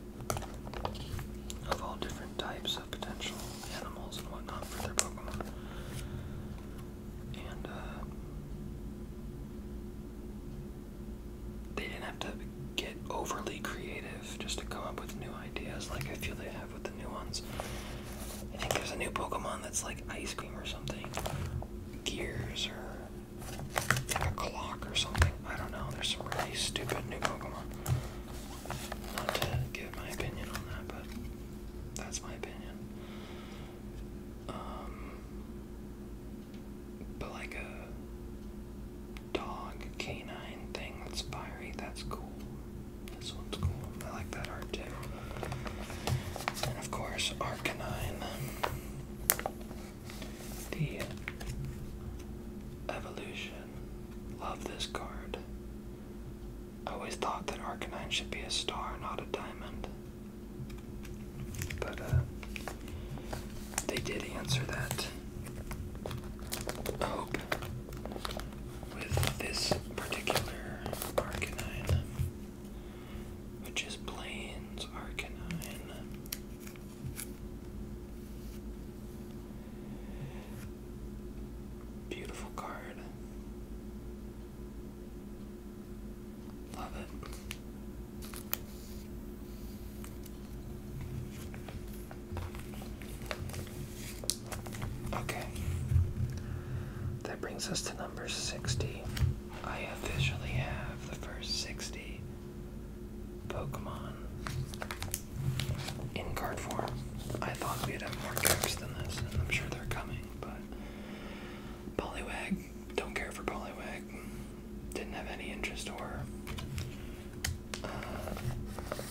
of all different types of potential animals and whatnot for their Pokemon. And uh, they didn't have to get overly creative just to come up with new ideas. Like I feel they have with the new ones. I think there's a new Pokemon that's like ice cream or something. Gears or a clock or something. I don't know. There's some really stupid new Pokemon. Not to give my opinion on that, but that's my opinion. Um, but like a dog canine thing that's fiery, that's cool. This one's cool. I like that art too. And of course, Arcanine. The Evolution. Love this card. I always thought that Arcanine should be a star, not a diamond. But, uh, they did answer that Oh with this particular Arcanine, which is Plains Arcanine. Beautiful card. Love it. Okay. That brings us to number 60. I officially have the first 60 Pokemon in card form. I thought we'd have more cards than this, and I'm sure they're coming, but Poliwag, don't care for Poliwag. Didn't have any interest or uh,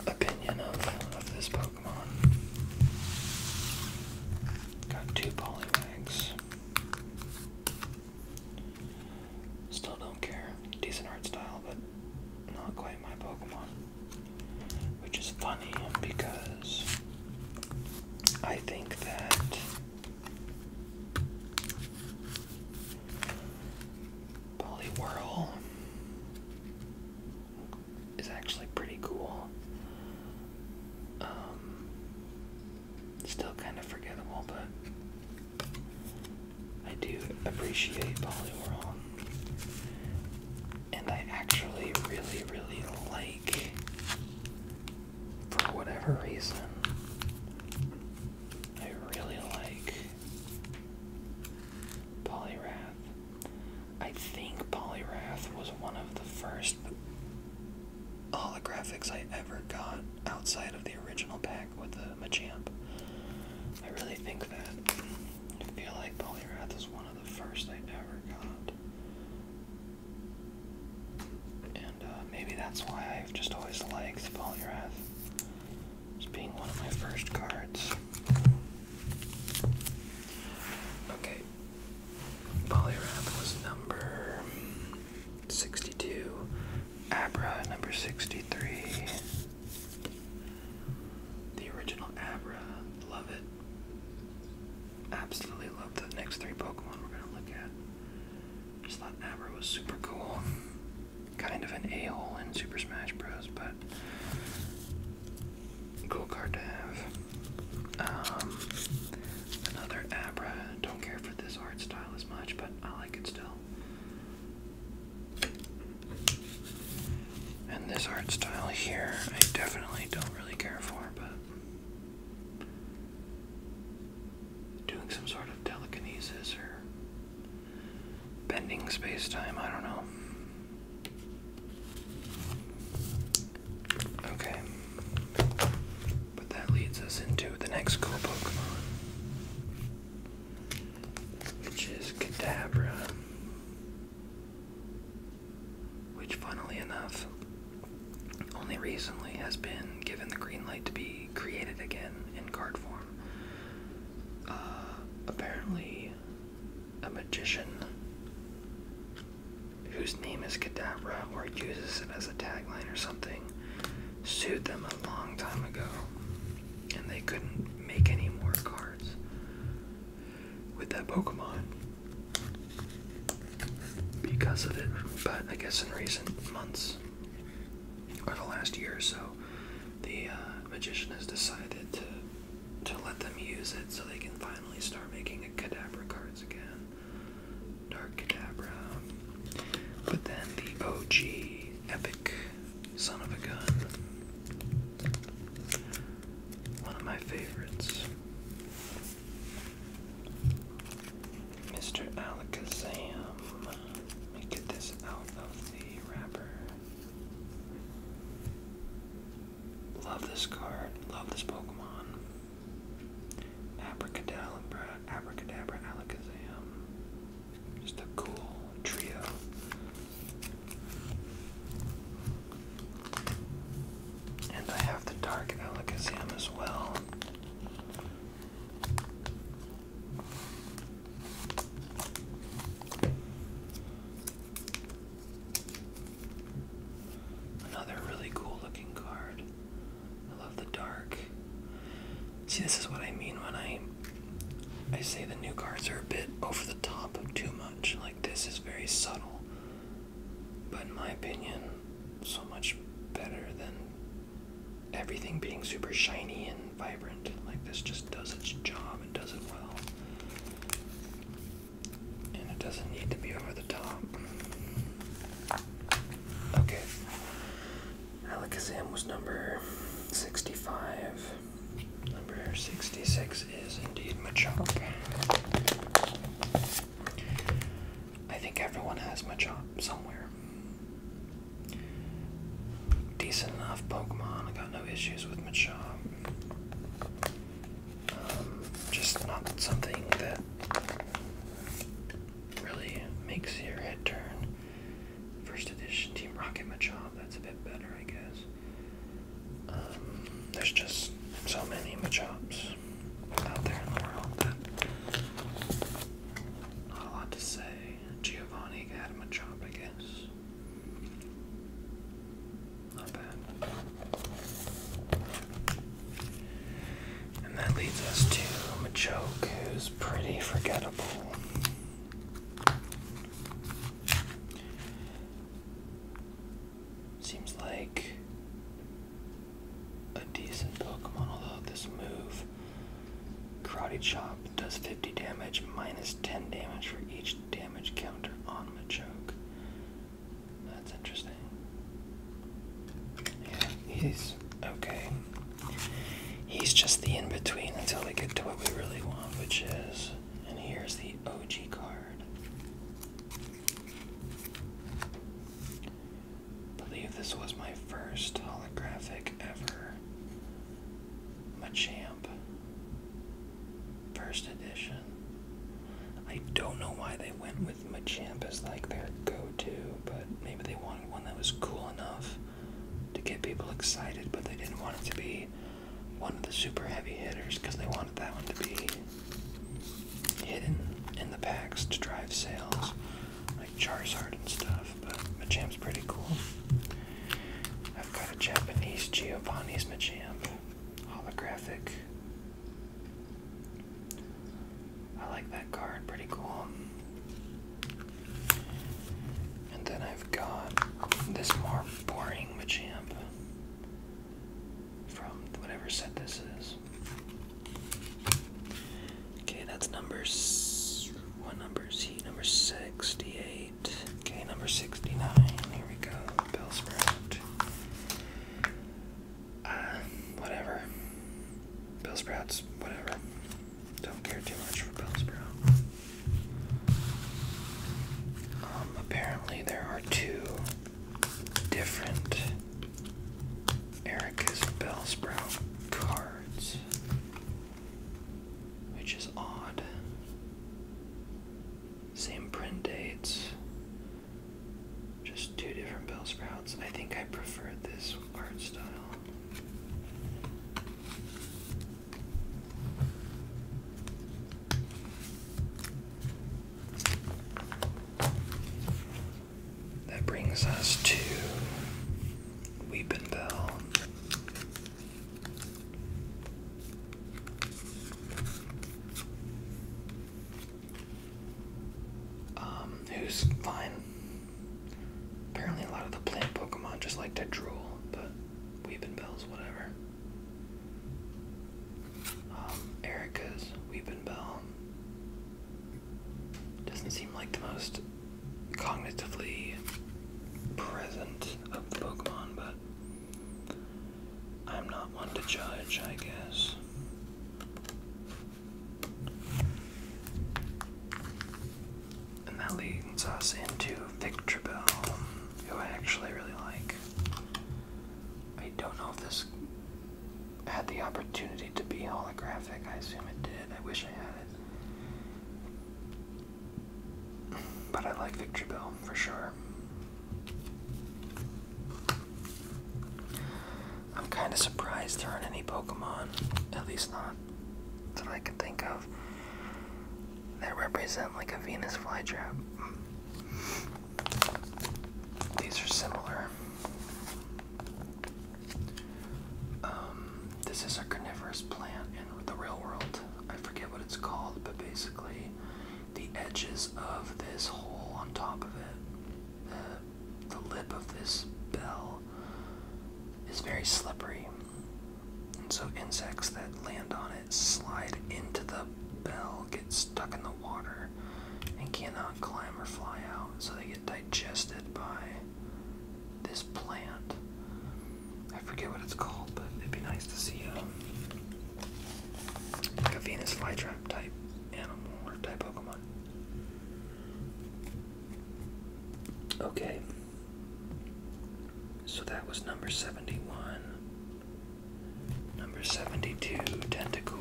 opinion of, of this Pokemon. Got two Poliwags. Still don't care. Decent art style, but not quite my Pokemon. Which is funny because I think that Poliwhirl is actually pretty cool. Um, still kind of forgettable, but I do appreciate Poliwhirl. And I actually really, really like, for whatever reason, I really like Poliwrath. I think Polyrath was one of the first holographics I ever got outside of the original pack with the Machamp. I really think that. I feel like Polyrath is one of the first I ever got. And uh, maybe that's why I've just always liked Polyrath. As being one of my first cards. Okay, Polyrap was number 62. Abra, number 63. The original Abra, love it. Absolutely love the next three Pokemon we're gonna look at. Just thought Abra was super cool. Kind of an a-hole in Super Smash Bros, but Cool card to have. Um, another Abra. Don't care for this art style as much, but I like it still. And this art style here, I definitely don't really care for, but doing some sort of telekinesis or bending space time, I don't know. Okay. But that leads us into the next cool Pokemon. Which is Kadabra. Which, funnily enough, only recently has been given the green light to be created again in card form. Uh, apparently, a magician whose name is Cadabra, or uses it as a tagline or something sued them a long time ago and they couldn't make any more cards with that Pokemon because of it. But I guess in recent months or the last year or so, the uh, magician has decided to to let them use it so they can finally start making a Kadabra cards again. Dark Kadabra. But then the OG Epic Son of a Gun. One of my favorites. Mr. Alakazam. Let me get this out of the wrapper. Love this card. Love this Pokemon. Abracadabra, Abracadabra, Alakazam. Just a cool trio. And I have the Dark Alakazam as well. Another really cool looking card. I love the dark. See, this is what I mean when I I say the new cards are a bit over the top too much. Like this is very subtle, but in my opinion, so much better than everything being super shiny and vibrant. Like this just does its job and does it well. And it doesn't need to be over the top. Okay. Alakazam was number 65. Number 66 is indeed Machop. I think everyone has Machop somewhere. Decent enough Pokemon, I got no issues with Machop. Um, just not something that really makes your head turn. First edition Team Rocket Machop, that's a bit better, I guess. Um, there's just so many Machops out there in the world that not a lot to say. Giovanni got a Machop, I guess. Not bad. And that leads us to Machoke, who's pretty forgettable. Seems like a decent Pokemon, although this move, Karate Chop, does 50 damage minus 10 damage for each damage counter on Machoke. That's interesting. Yeah, he's okay. He's just the in between until we get to what we really want, which is. And here's the OG card. believe this was my first holographic ever. champ first edition. I don't know why they went with Machamp as like their go-to, but maybe they wanted one that was cool enough to get people excited, but they didn't want it to be one of the super heavy hitters because they wanted that one to be hidden in the packs to drive sales, like Charizard and stuff. But Machamp's pretty cool. I've got a Japanese Giovanni's Machamp holographic I like that card, pretty cool. And then I've got this more boring Machamp from whatever set this is. Okay, that's number one. number is Number sixty-eight. Okay, number sixty-nine. Here we go. Bellsprout. Uh, whatever. Bill Sprouts, whatever. Don't care too much for Bill Sprout. Um, apparently there are two different Erica's Bell Sprout cards. Which is odd. Same print dates. Just two different bell sprouts. I think I prefer this art style. That brings us to Weeping Bell. Um, who's fine. Apparently a lot of the plant Pokemon just like to drool, but Weepin' Bell's whatever. Um, Erica's Weepin' Bell doesn't seem like the most cognitively present of the Pokemon, but I'm not one to judge, I guess. And that leads us into Victor Bell, who I actually really like. I don't know if this had the opportunity to be holographic. I assume it did. I wish I had it. But I like Victor Bell for sure. I'm kind of surprised there aren't any Pokemon, at least not that I can think of, that represent like a Venus flytrap. These are similar. Um, this is a carnivorous plant in the real world. I forget what it's called, but basically, the edges of this hole on top of it, the, lip of this bell is very slippery. And so insects that land on it slide into the bell, get stuck in the water, and cannot climb or fly out. So they get digested by this plant. I forget what it's called, but it'd be nice to see a, um, like a Venus flytrap type animal or type Pokemon. Okay. So that was number 71. Number 72, Tentacool.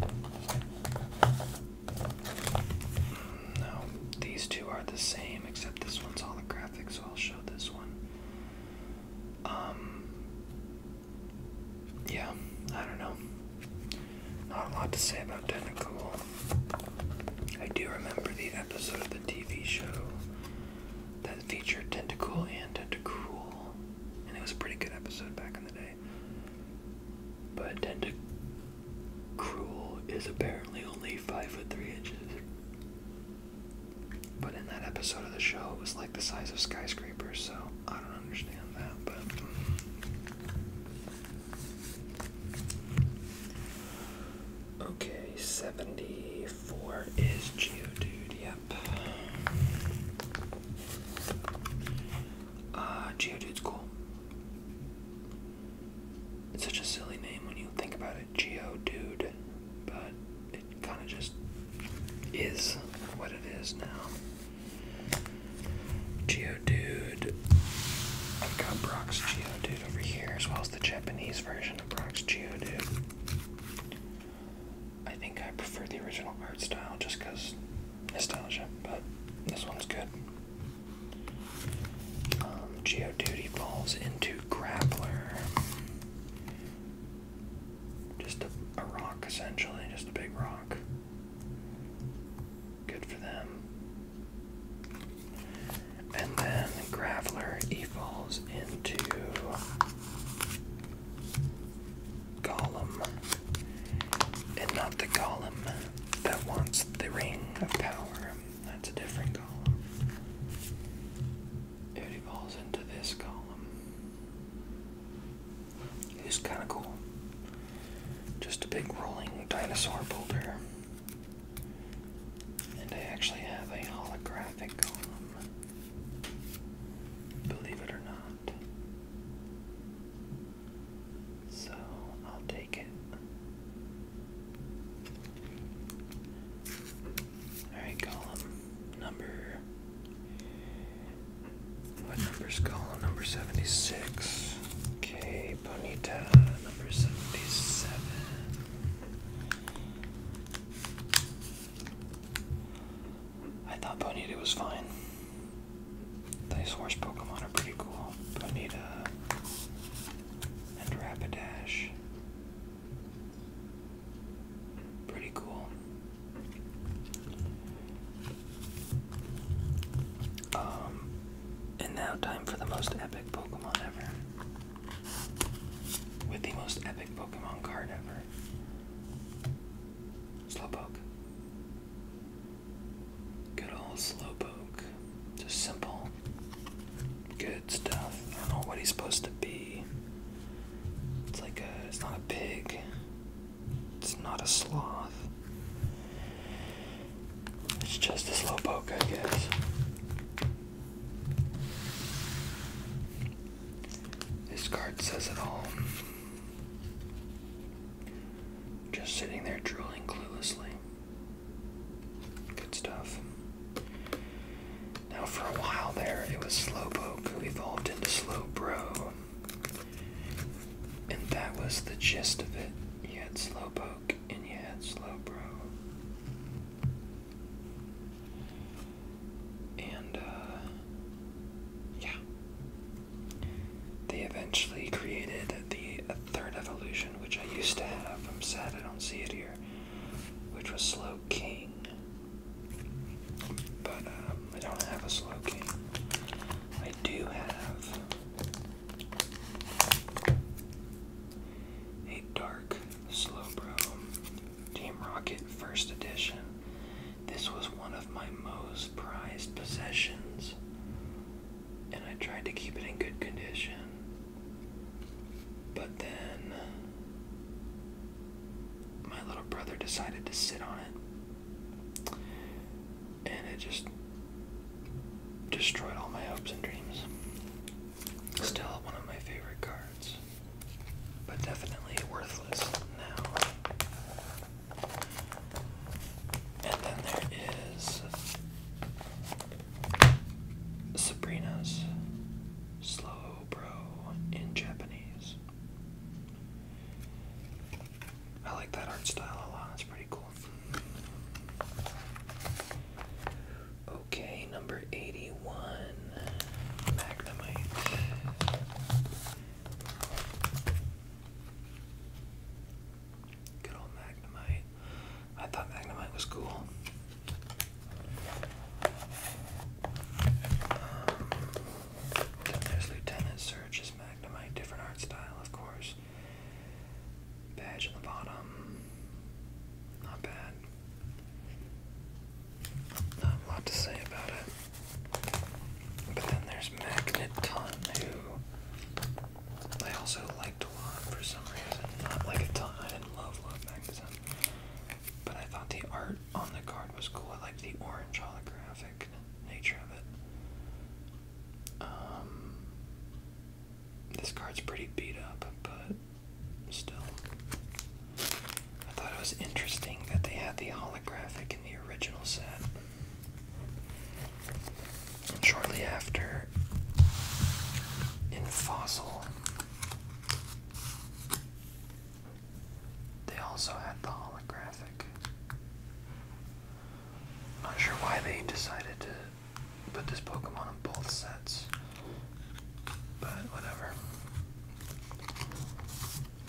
Mm, no, these two are the same, except this one's holographic, so I'll show this one. Um, yeah, I don't know. Not a lot to say about Tentacool. I do remember the episode of the TV show that featured Tentacool and Tentacruel, and it was a pretty good episode back in the day. But Tentacruel is apparently only five foot three inches. But in that episode of the show, it was like the size of skyscrapers, so I don't understand that. But okay, seventy-four is Geodude. Yep. Uh, Geodude's cool. It's such a silly name when you think about it. Geodude, but it kind of just is what it is now. Geodude. I've got Brock's Geodude over here, as well as the Japanese version of Brock's Geodude. I think I prefer the original art style just because nostalgia, but this one's good. Um, Geodude evolves into Grappler. Just a, rock, essentially, just a big rock. Good for them. And then Graveler evolves into Gollum. And not the Gollum that wants the Ring of Power. That's a different Gollum. It evolves into this column. It's kind of cool. Just a big rolling dinosaur boulder. And I actually have a holographic column. Believe it or not. So I'll take it. Alright, column number. What number's column? Number 76. Okay, Bonita, number 77. I thought Bonita was fine. These horse Pokemon are pretty cool. Bonita and Rapidash. Pretty cool. Um, and now time for the most epic Pokemon ever. With the most epic Pokemon card ever. Slowpoke. Good old Slowpoke. Just simple. Good stuff. I don't know what he's supposed to be. It's like a, it's not a pig. It's not a sloth. It's just a slowpoke, I guess. This card says it all. Just sitting there drooling cluelessly. Good stuff. Now, for a while there, it was Slowpoke who evolved into Slowbro. And that was the gist of it. You had Slowpoke and you had Slowbro. And, uh, yeah. They eventually created the third evolution, which I used to have. I'm sad I don't see it here, which was slowking. But um, I don't have a slow game. I do have a dark Slowbro Team Rocket First Edition. This was one of my most prized possessions, and I tried to keep it in good condition. But then my little brother decided to sit on it. And it just destroyed all my hopes and dreams. Still one of my favorite cards, but definitely worthless now. And then there is Sabrina's Slow Bro in Japanese. I like that art style a lot, it's pretty cool. Okay, number 81 Magnemite. Good old Magnemite. I thought Magnemite was cool then um, there's Lieutenant Surge's Magnemite, different art style, of course. Badge on the bottom. Not bad. Not a lot to say about it. But then there's Magneton, who I also liked a lot for some reason. Not like a ton. I didn't love Love Magneton. But I thought the art on the card was cool. I like the orange holographic nature of it. Um, this card's pretty beat up, but still. I thought it was interesting that they had the holographic in the original set. shortly after, in Fossil, they also had the holographic. not sure why they decided to put this Pokemon on both sets, but whatever.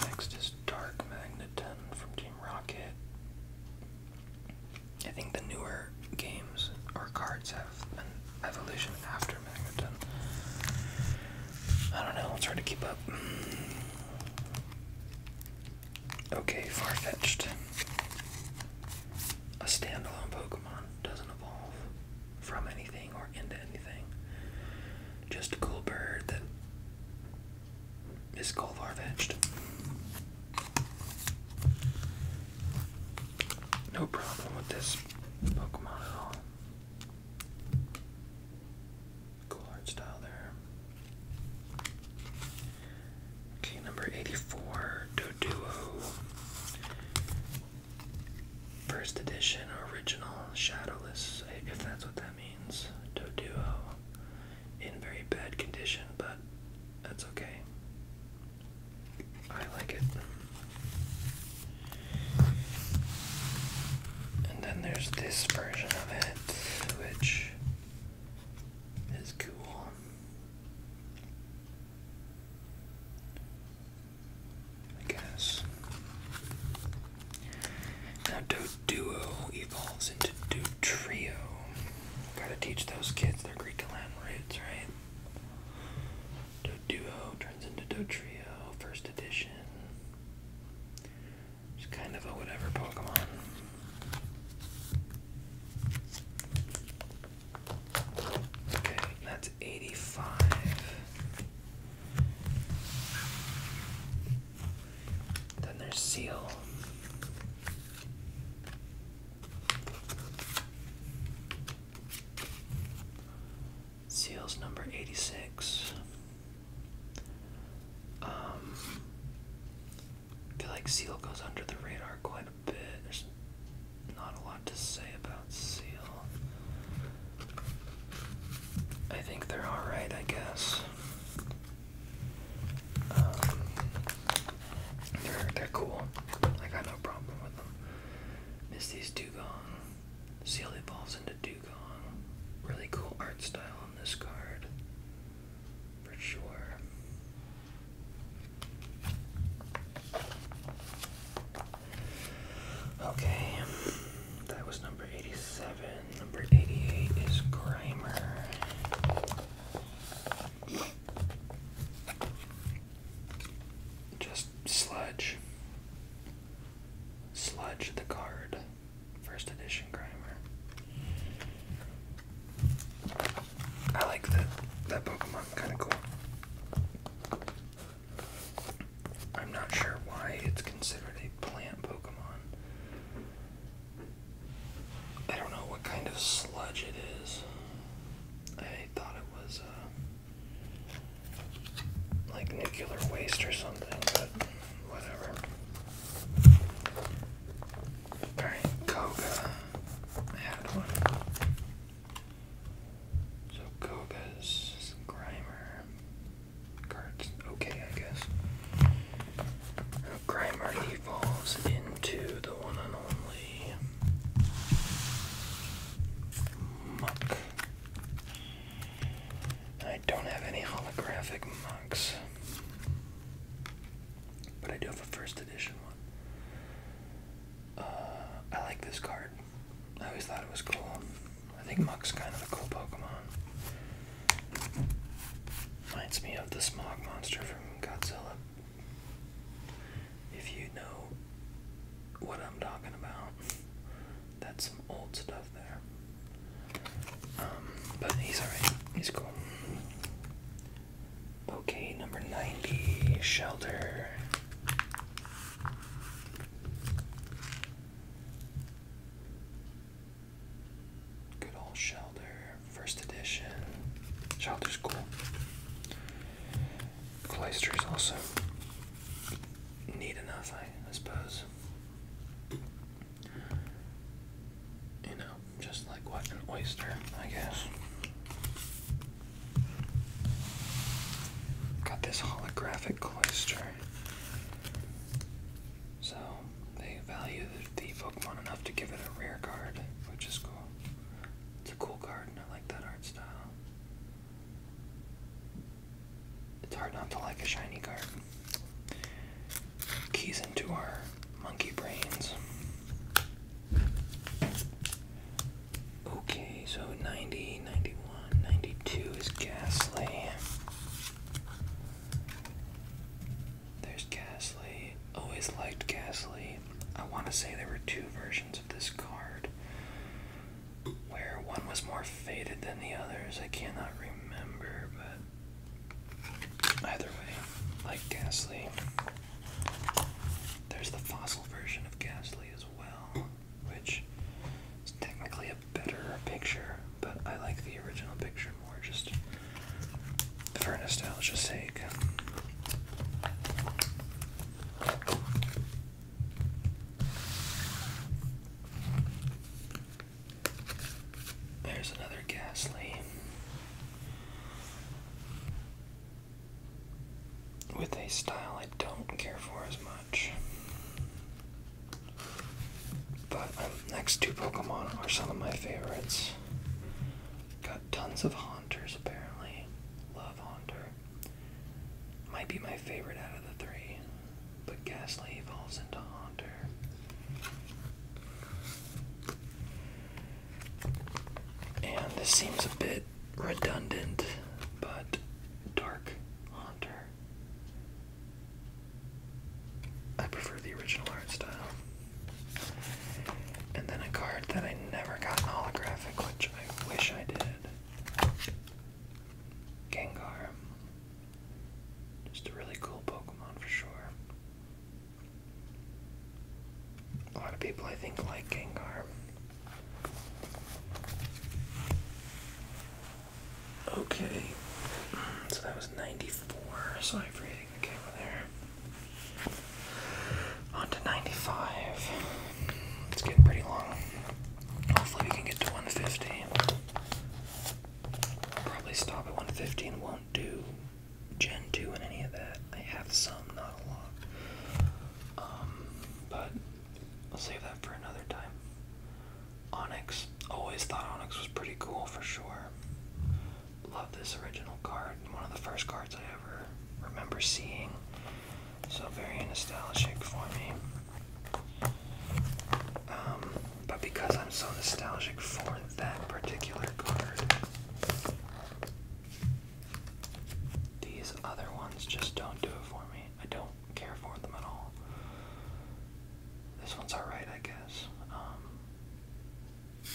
Next is Dark Magneton from Team Rocket. I think the newer games or cards have an evolution after I don't know, it's hard to keep up. Okay, far fetched. A standalone Pokemon doesn't evolve from anything or into anything. Just a cool bird that is called far fetched. No problem with this Pokemon at all. Cool art style there. Okay, number 84, Doduo. First edition, original, shadowless, if that's what that means. Doduo. In very bad condition, but that's okay. I like it. And then there's this version of it, which is cool. I guess. Now do duo evolves into do trio. Gotta teach those kids their Greek to Latin roots, right? Do duo turns into do trio, first edition. It's kind of a whatever Pokemon. Okay, that's 85. Then there's Seal. Seal's number 86. Um, I feel like Seal goes under the radar quite a bit. There's not a lot to say about Seal. I think they're alright, I guess. Um, they're, they're cool. I got no problem with them. Misty's Dugong. See how it evolves into Dugong. Really cool art style on this card. For sure. Okay, that was number 87. Number 88 is Grimer. Just sludge. Sludge the Card, first edition Grimer. I like that that Pokemon kinda cool. I'm not sure why it's considered a plant Pokemon. I don't know what kind of sludge it is. I thought it was uh, like nuclear waste or something, but whatever. Alright, Koga had one. So Koga's Grimer. Cards, okay, I guess. Grimer evolves into the one and only Muck. I don't have any holographic mugs, but I do have a first edition one. Uh, I like this card. I always thought it was cool. I think Muck's kind of a cool Pokemon. Reminds me of the Smog Monster from Godzilla. If you know what I'm talking about that's some old stuff there. Um, but he's alright. He's cool. Okay, number 90, shelter. Good old shelter, first edition. Shelter's cool. Cloister's also neat enough, I suppose. You know, just like what an oyster, I guess. Got this holographic cloister. So they value the Pokemon enough to give it a rare card, which is cool. It's a cool card I like that art style. It's hard not to like a shiny card. Keys into our monkey brains. Okay, so 90, 91, 92 is Ghastly. There's Ghastly. Always liked Ghastly. I want to say there were two versions of this card where one was more faded than the others. I cannot remember, but either way, like Ghastly, there's the fossil version of Ghastly as well, which is technically a better picture, but I like the original picture more just for nostalgia's sake. There's another Ghastly with a style I don't care for as much. But um, next two Pokemon are some of my favorites. Got tons of Haunters apparently. Love Haunter. Might be my favorite out of the three but Ghastly evolves into Haunter. And this seems a bit redundant, but Dark Haunter. I prefer the original art style. And then a card that I never got in holographic, which I wish I did. Gengar. Just a really cool Pokemon for sure. A lot of people, I think, like Gengar. Okay, so that was 94. Sorry for hitting the camera there. On to 95. It's getting pretty long. Hopefully, we can get to 150. Probably stop at 115. Won't do Gen 2 and any of that. I have some, not a lot. Um, but I'll save that for another time. Onyx. Always thought Onyx was pretty cool for sure. Love this original card. One of the first cards I ever remember seeing. So very nostalgic for me. Um, but because I'm so nostalgic for that particular card, these other ones just don't do it for me. I don't care for them at all. This one's alright, I guess. Um,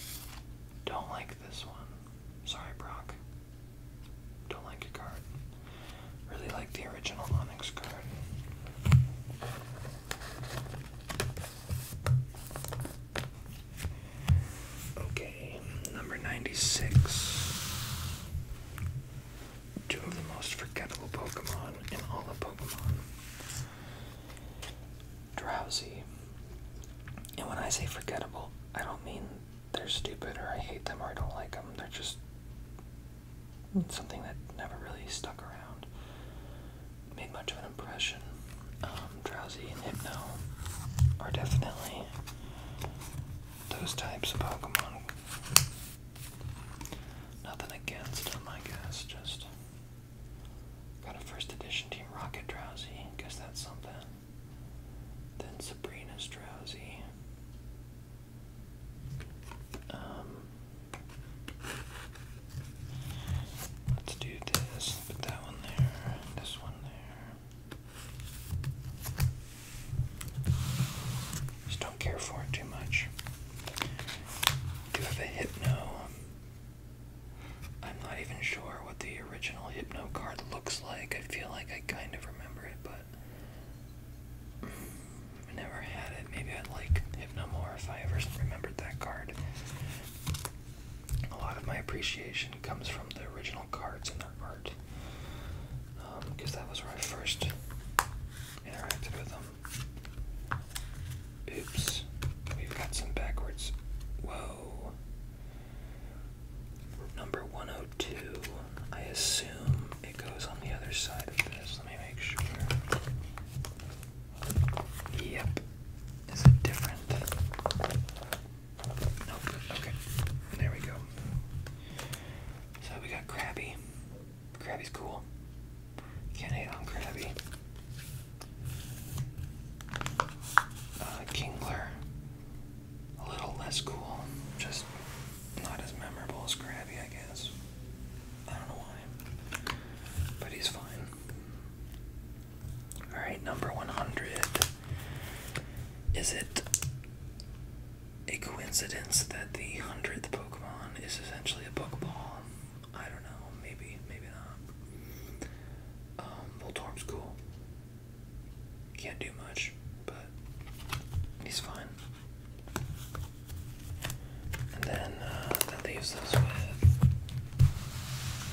don't like this one. Sorry, Brock. Don't like your card. Really like the original Onyx card. Okay, number 96. Two of the most forgettable Pokemon in all of Pokemon. Drowsy. And when I say forgettable, I don't mean they're stupid or I hate them or I don't like them. They're just something that never really stuck around, made much of an impression. Um, drowsy and Hypno are definitely those types of Pokemon. Nothing against them, I guess. Just got a first edition Team Rocket Drowsy. Guess that's something. Then Sabrina's Drowsy. Um, let's do this. Put that one there. This one there. Just don't care for it too much. Do have a hypno. I'm not even sure what the original hypno card looks like. I feel like I kind of remember it, but I never had it. Maybe I'd like Hypnomore if I ever remembered that card. A lot of my appreciation comes from the original cards and their art. Because um, that was where I first interacted with them. Oops. We've got some backwards. Whoa. Number 102. I assume it goes on the other side of this. Let me make sure. Yep. Is it different? Nope. Okay. There we go. So we got Krabby. Krabby's cool. Can't hate on Krabby. Uh, Kingler. A little less cool. Just not as memorable as Krabby, I guess. I don't know why. But he's fine. Alright, number 100. Is it a coincidence that the 100th Pokemon is essentially a Pokeball? I don't know. Maybe, maybe not. Um, Voltorm's cool. Can't do much, but he's fine. And then uh, that leaves us with.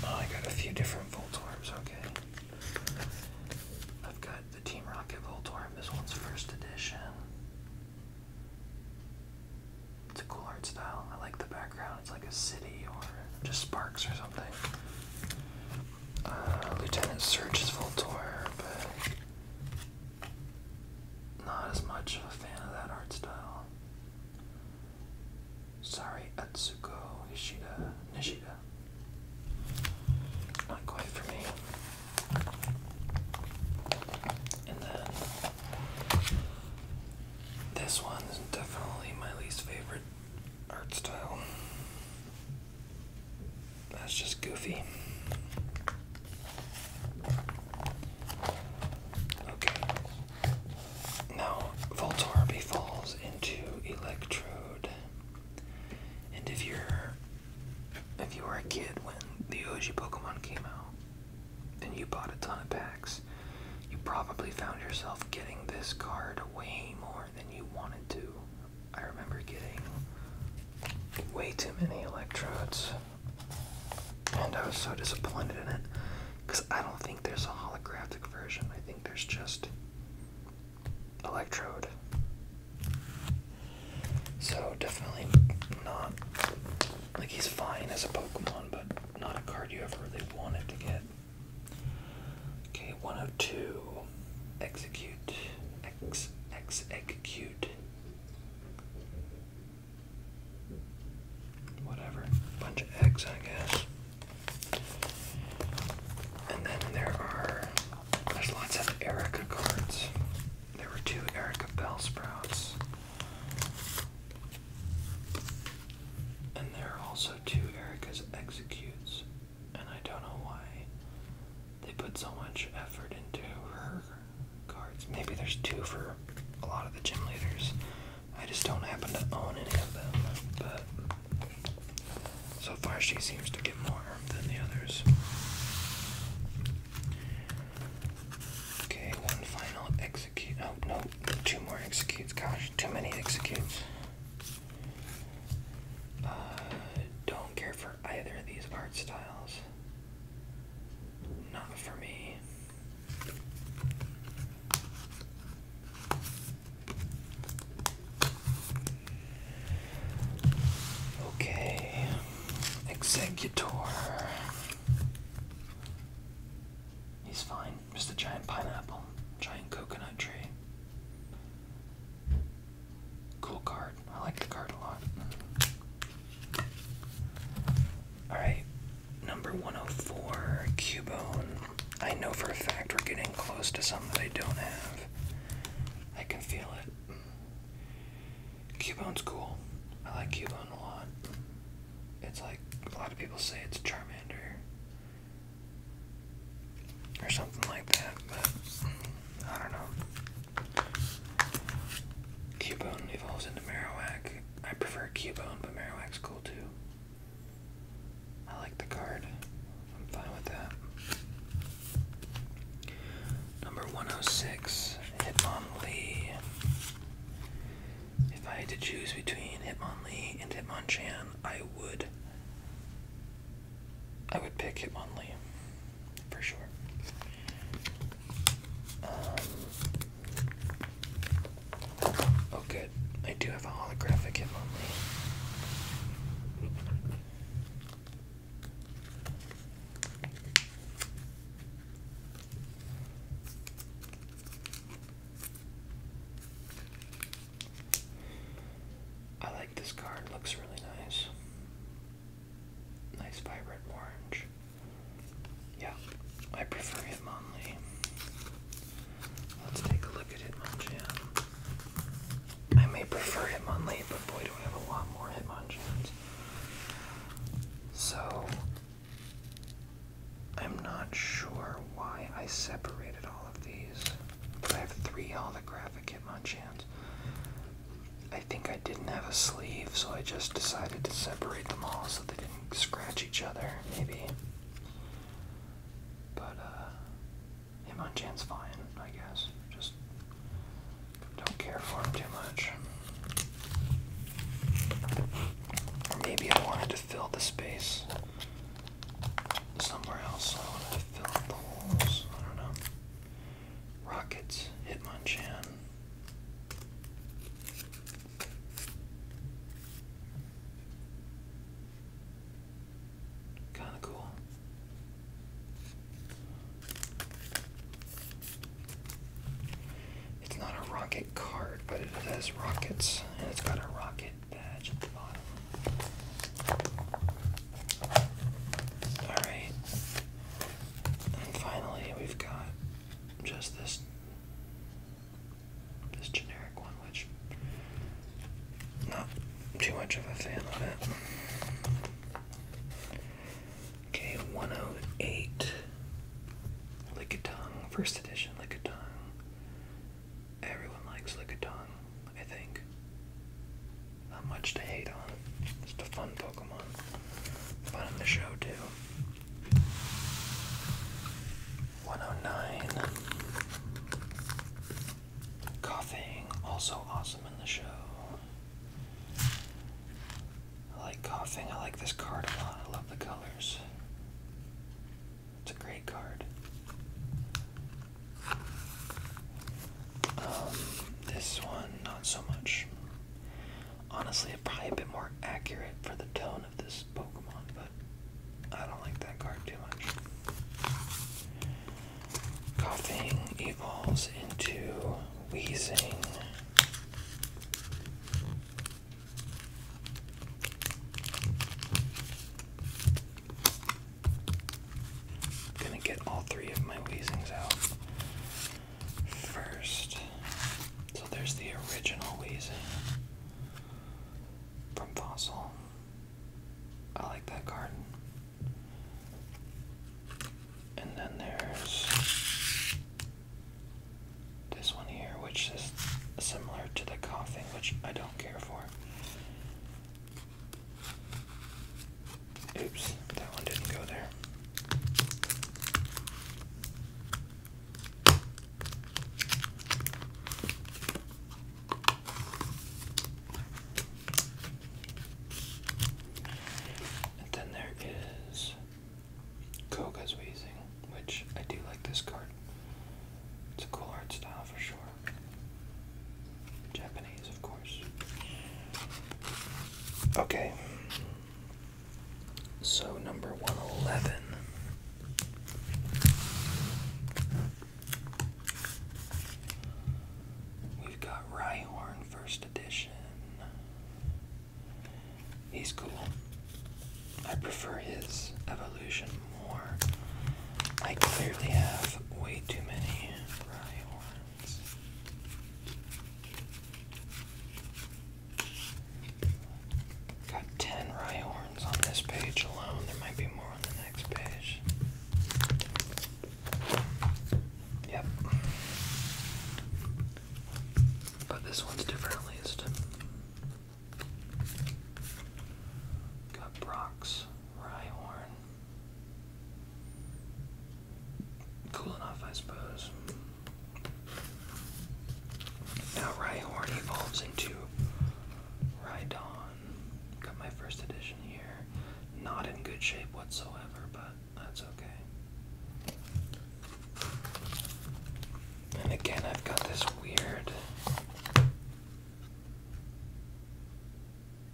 Oh, I got a few different Voltors. okay. I've got the Team Rocket Voltor. this one's first edition. It's a cool art style. I like the background. It's like a city or just sparks or something. Uh, Lieutenant Surge's Voltor not as much of a fan of that art style. Sorry, Atsuko Ishida Nishida. Not quite for me. And then this one is definitely my least favorite art style. That's just goofy. Okay. Now, Voltorb falls into Electrode. And if you're if you were a kid when the OG Pokemon came out then you bought a ton of packs, you probably found yourself getting this card way more than you wanted to. I remember getting way too many electrodes. And I was so disappointed in it because I don't think there's a holographic version. I think there's just Electrode. So definitely not like he's fine as a Pokemon, but not a card you ever really wanted to get. Okay, 102. Execute. X Ex, X execute whatever, bunch of eggs, I guess. And then there are there's lots of Erica cards. There were two Erica Bell sprouts. And there are also two Erica's executes. And I don't know why they put so much effort into her cards. Maybe there's two for a lot of the gym leaders. I just don't happen to own any of them, but so far she seems to get more than the others. Okay, one final execute. Oh, no, two more executes. Gosh, too many executes. Uh, don't care for either of these art styles. Not for me. Okay, Executor. He's fine. Just a giant pineapple, giant coconut tree. Cool card. I like the card a lot. Alright, number 104, Cubone. I know for a fact we're getting close to some that I don't have. I can feel it. Cubone's cool. I like Cubone a lot. It's like a lot of people say it's Charmander or something like that, but mm, I don't know. Cubone evolves into Marowak. I prefer Cubone, but Marowak's cool too. I like the card. I'm fine with that. Number 106, Hitmonlee. If I had to choose between Hitmonlee and Hitmonchan, I would I would pick Hitmonlee for sure. Um, oh, good. I do have a holographic hit on me. I like this card, looks really nice. Nice vibrant orange. Yeah, I prefer Hitmonlee. Let's take a look at Hitmonchan. I may prefer Hitmonlee, but boy do I have a lot more Hitmonchans. So, I'm not sure why I separated all of these, I have three holographic Hitmonchans. I think I didn't have a sleeve, so I just decided to separate them all so they didn't scratch each other, maybe. But, uh, him on Jan's fine, I guess. Just don't care for him too much. Or maybe I wanted to fill the space somewhere else. I wanted to fill up the holes. I don't know. Rockets, Hitmonchan. Kind of cool. It's not a rocket card, but it has rockets, and it's got a rocket badge at the bottom. Alright. And finally, we've got just this this generic one, which not too much of a fan of it. Okay, 108. Lickitung, first edition Lickitung. Everyone likes Lickitung, I think. Not much to hate on. Just a fun Pokemon. Fun in the show, too. 109. Coughing, also awesome in the show. I like coughing. I like this card a lot. I love the colors. It's a great card. Um, this one, not so much. Honestly, it's probably a bit more accurate for the tone of this Pokemon, but I don't like that card too much. Coughing evolves into wheezing. gonna get all three of my wheezings out first. So there's the original Weezy from Fossil. I like that garden. And then there's this one here, which is similar to the coughing, which I don't care for. Oops, that one didn't go there. And then there is Koga's Wheezing, which I do like this card. It's a cool art style for sure. Japanese, of course. Okay. So, number 111. We've got Rhyhorn First Edition. He's cool. I prefer his evolution more. I clearly have way too many Rhyhorns. Got 10 rhyorns on this page alone. There might be more on the next page. Yep. But this one's different at least. Got Brock's rye Cool enough, I suppose. Now Rhyhorn evolves into Rhydon. Got my first edition here. Not in good shape whatsoever, but that's okay. And again, I've got this weird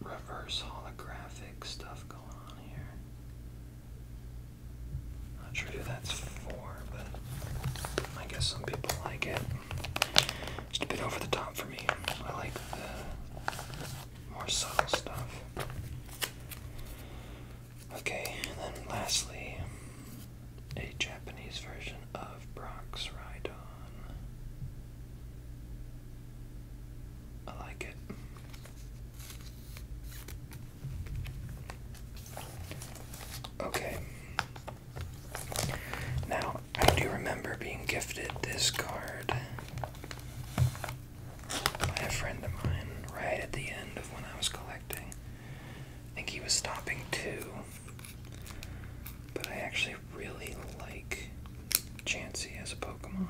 reverse holographic stuff going on here. Not sure who that's for, but I guess some people like it. Just a bit over the top for me. I like the more subtle stuff. Okay, and then lastly, a Japanese version of Brock's Rhydon. I like it. Okay. Now, I do remember being gifted this card by a friend of mine right at the end of when I was collecting. I think he was stopping too. But I actually really like Chansey as a Pokemon.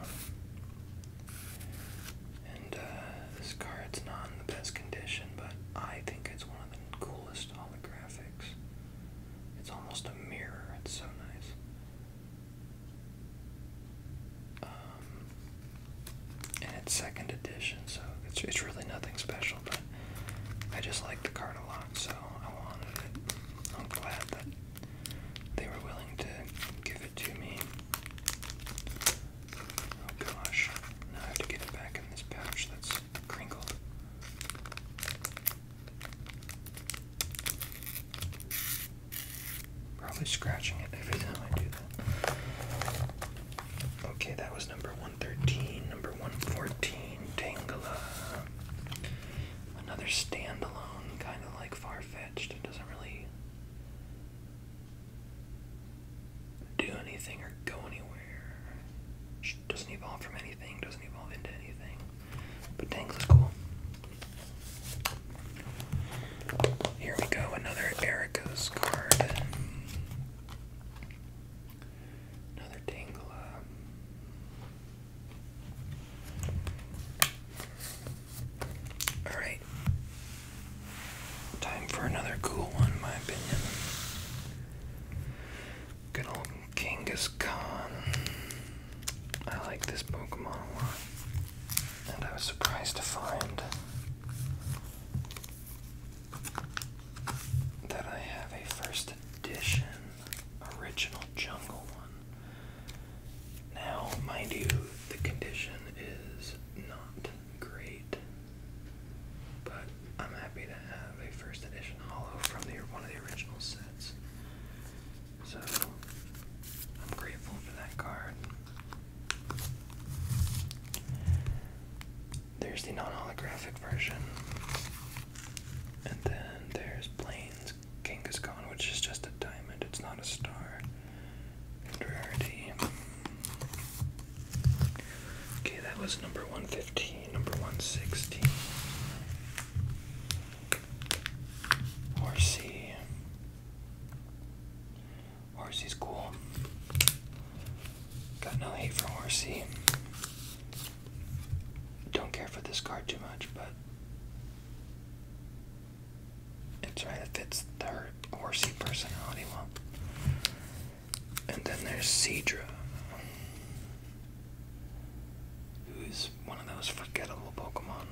And uh, this card's not in the best condition, but I think it's one of the coolest holographics. It's almost a mirror, it's so nice. Um, and it's second edition, so it's, it's really nothing special, but I just like the card a lot, so I wanted it. I'm glad that they were willing to give it to me. Oh gosh. Now I have to get it back in this pouch that's crinkled. Probably scratching it every time I do that. Okay, that was number 113. Number 114, Tangela. Another standalone, kind of like far fetched. It doesn't really do anything or go anywhere. doesn't evolve from anything, doesn't evolve into anything. But Tanks is cool. Here we go, another Erica's card. Another Tangela. Alright, Time for another cool one, in my opinion. Good old Kangaskhan. I like this Pokemon a lot. And I was surprised to find that I have a first edition original jungle one. Now, mind you, the condition is not great, but I'm happy to have a first edition hollow from the one of the original sets. So I'm grateful for that card. There's the non-holographic version, and then there's Blaine's is gone, which is just a diamond. It's not a star. rarity. Okay, that was number 115, number 116. RC. RC's cool. Got no hate for RC. Don't care for this card too much, but it's right. It fits the horsey personality well. And then there's Cedra, who's one of those forgettable Pokemon.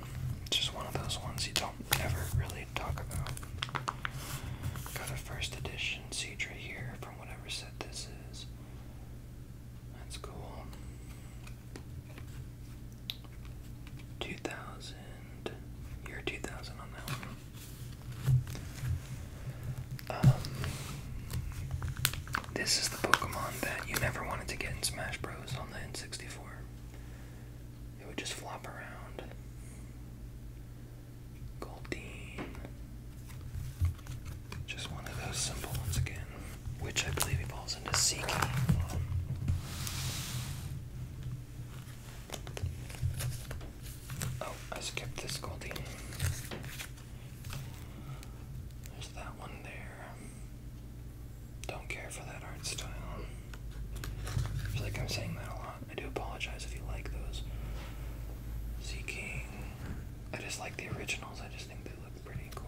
Just one of those ones you don't ever really talk about. Got a first edition Cedra here from whatever set this is. That's cool. 2000, year 2000 on that um, this is the Pokemon that you never wanted to get in Smash Bros. on the N64. It would just flop around. Goldeen. Just one of those simple ones again, which I believe evolves into Seeky. Oh, I skipped this Goldie. There's that one there. Don't care for that art style. I feel like I'm saying that a lot. I do apologize if you like those. Sea King. I just like the originals. I just think they look pretty cool.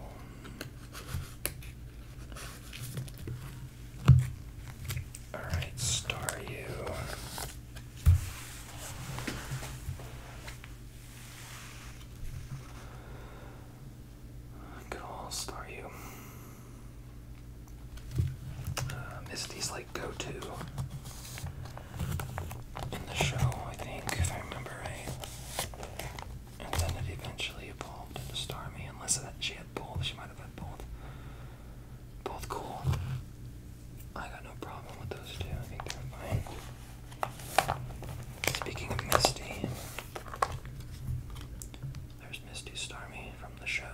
Alright, Staryu. Cool, Staryu. Uh, um, Misty's like go to in the show, I think, if I remember right. And then it eventually evolved into Star. Me, unless she had both, she might have had both. Both cool. I got no problem with those two. I think they're fine. Speaking of Misty, there's Misty Starmie from the show.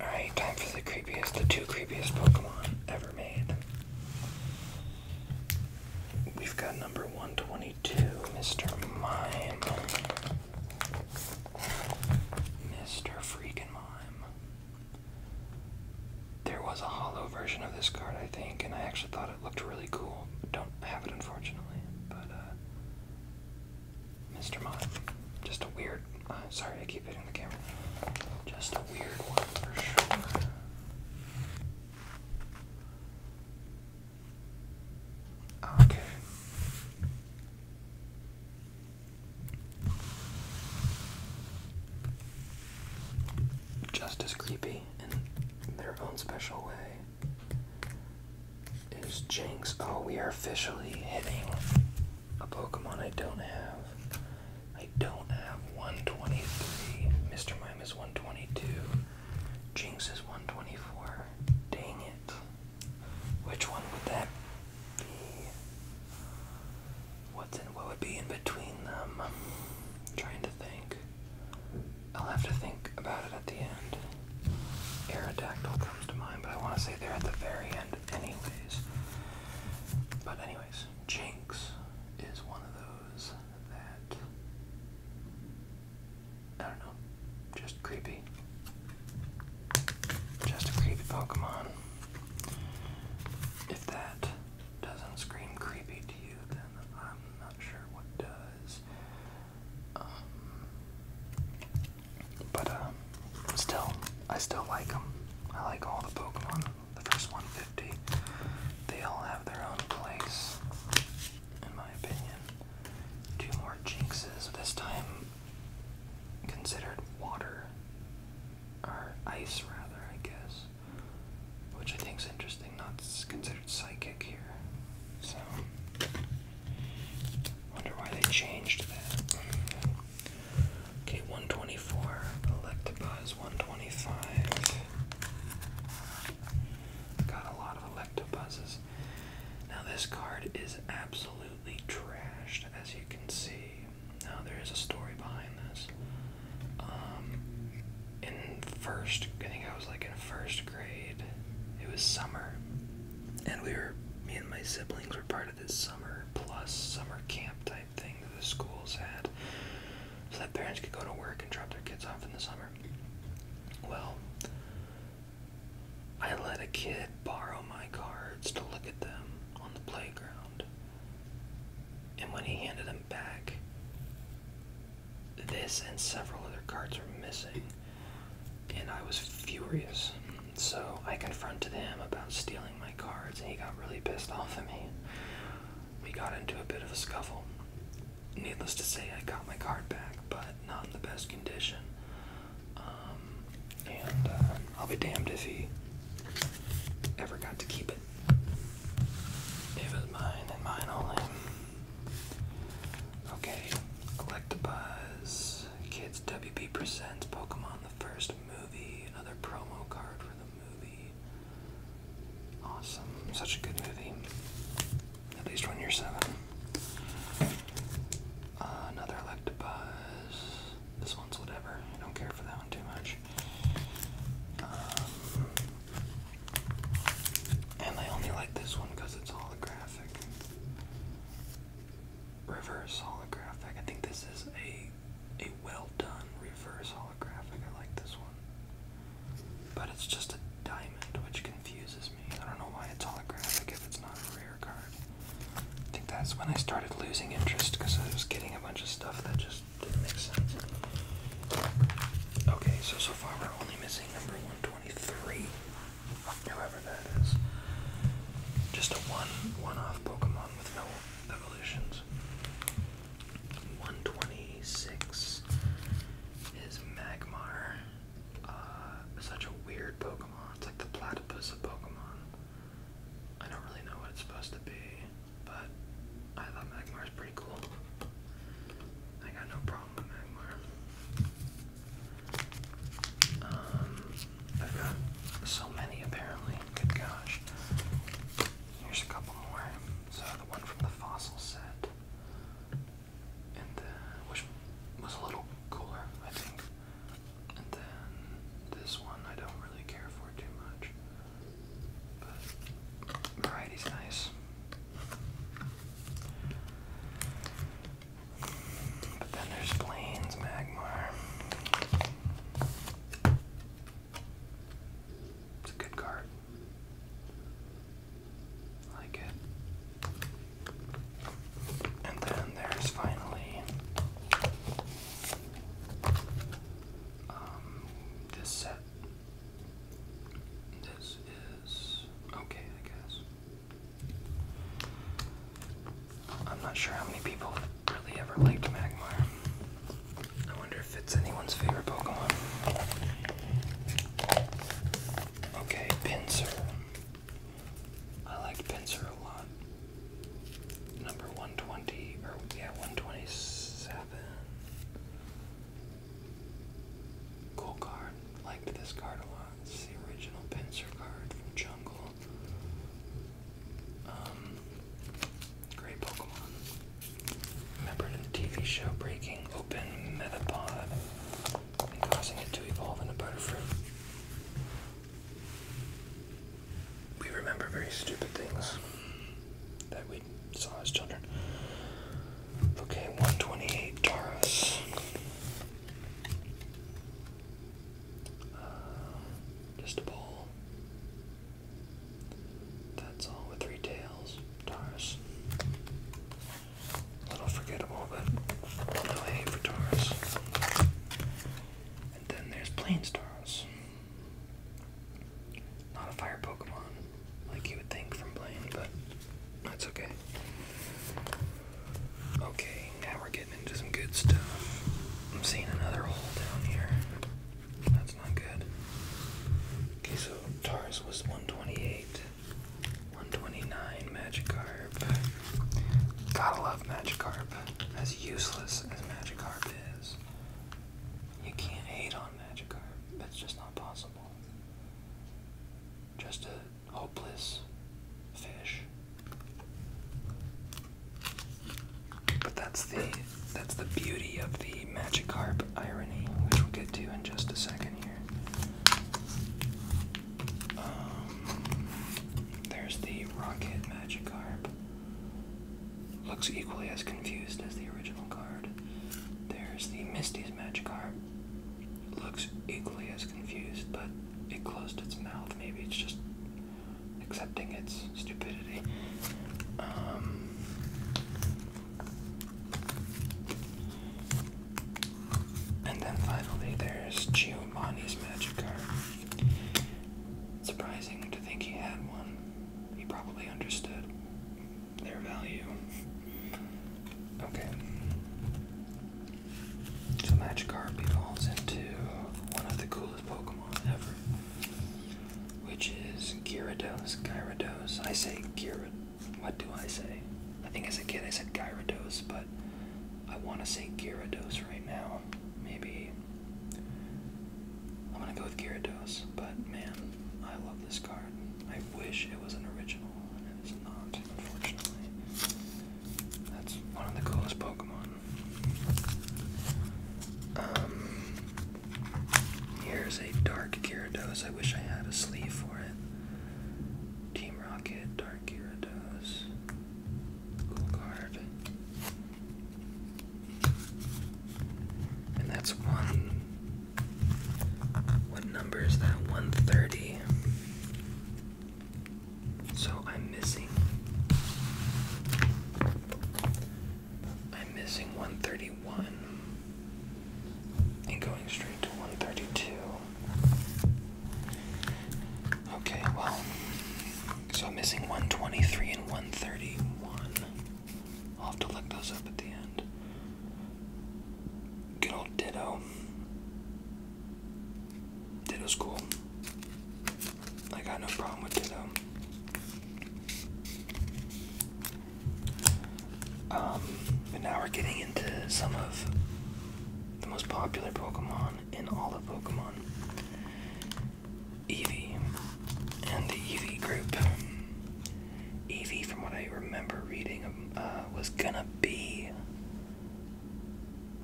Alright, time for the creepiest, the two creepiest Pokemon ever made. We've got number 122, Mr. Mime. Mr. Freakin' Mime. There was a hollow version of this card, I think, and I actually thought it looked really cool. Don't have it, unfortunately, but, uh, Mr. Mime. Just a weird, uh, sorry, I keep hitting the camera. Just a weird one for sure. Okay. Just as creepy in their own special way is Jinx. Oh, we are officially hitting a Pokemon I don't have. I don't have 123. Mr. Mime is 122. Jinx is 124. Dang it. Which one would that be? What's in what would be in between them? I'm trying to think. I'll have to think about it at the end. Aerodactyl comes to mind, but I want to say they're at the very end anyways. But anyways, Jinx is one of those that I don't know. Just creepy. Just a creepy Pokemon. If that doesn't scream creepy to you, then I'm not sure what does. Um, but um, still, I still like them. I like all the Pokemon. The first 150. They all have their own place, in my opinion. Two more Jinxes. This time considered water, or ice rather, I guess, which I think is interesting. Not considered psychic here, so wonder why they changed that. Okay, 124. Electabuzz 125. Got a lot of Electabuzzes. Now this card is absolutely trashed, as you can see. Now, there is a story behind this. Um, in first, I think I was like in first grade. It was summer, and we were, me and my siblings were part of this summer plus summer camp type thing that the schools had, so that parents could go to work and drop their kids off in the summer. Well, I let a kid borrow my cards to look at them on the playground. And when he handed them back, this and several other cards were missing. And I was furious. So I confronted him about stealing my cards, and he got really pissed off at me. We got into a bit of a scuffle. Needless to say, I got my card back, but not in the best condition. Um, and uh, I'll be damned if he ever got to keep it. It was mine and mine only. Okay, Electabuzz, Kids WB Presents Pokemon the First Movie, another promo card for the movie. Awesome, such a good movie. At least when you're seven. Uh, another Electabuzz. This one's whatever. I don't care for that one too much. Um, and I only like this one because it's holographic. Reverse holographic. I think this is a a well done reverse holographic. I like this one. But it's just a diamond, which confuses me. I don't know why it's holographic if it's not real. I think that's when I started losing interest because I was getting a bunch of stuff that just didn't make sense. Okay, so so far we're only missing number 123. However that is. Just a one one off Pokemon with no evolutions. 126 is Magmar uh, such a weird Pokemon. It's like the platypus of Pokemon. I don't really know what it's supposed to be, but I thought Magmar's pretty cool. I got no problem with Magmar. Um, I've got so many apparently. Good gosh. Here's a couple more. So the one from the fossil set, and uh, which was a little cooler, I think. And then this one I don't really care for too much. But variety's nice. But then there's Plains Magmar. It's a good card. like it. And then there's finally um, this set. This is okay, I guess. I'm not sure how many people really ever liked Magmar. I wonder if it's anyone's favorite Pokemon. Okay, Pinsir. I liked Pincer a lot. Number 120, or yeah, 127. Cool card. Liked this card a lot. It's the original Pincer card from Jungle. Um, great Pokemon. Remembered in the TV show Breaking Open Metapod causing it to evolve into Butterfree. We remember very stupid things that we saw as children. Okay, 128 Taurus. Uh, just a bowl. That's all with three tails. Taurus. A little forgettable but still hanging for Taurus. And then there's Plains Taurus. Not a fire Pokemon, like you would think from Blaine, but that's okay. Okay, now we're getting into some good stuff. I'm seeing another hole down here. That's not good. Okay, so Taurus was 128, 129 Magikarp. Gotta love Magikarp. As useless as Magikarp is, you can't hate on Magikarp. It's just not possible. Just a hopeless fish. But that's the that's the beauty of the Magikarp irony, which we'll get to in just a second here. Um, there's the Rocket Magikarp. Looks equally as confused as the original card. There's the Misty's Magikarp. Looks equally as confused, but it closed its mouth. Maybe it's just accepting its stupidity. Um, and then finally, there's Giovanni's Magikarp. Surprising to think he had one. He probably understood their value. Okay. So Magikarp evolves into one of the coolest Pokemon ever, which is Gyarados. Gyarados. I say Gyarados. What do I say? I think as a kid I said Gyarados, but I want to say Gyarados right now. Maybe. I'm going to go with Gyarados, but man, I love this card. I wish it was an original, and it is not, unfortunately. That's one of the coolest Pokemon. Um, here's a Dark Gyarados. I wish I had a sleeve for it. Team Rocket, Dark Gyarados. And that's one. What number is that? 130. So I'm missing. I'm missing 131 and going straight to 132. Okay, well, so I'm missing 123 and 131. I'll have to look those up at the end. Good old Ditto. Ditto's cool. I got no problem with Ditto. Um, but now we're getting into some of the most popular Pokemon in all of Pokemon. Eevee and the Eevee group. Eevee, from what I remember reading, um, uh, was gonna be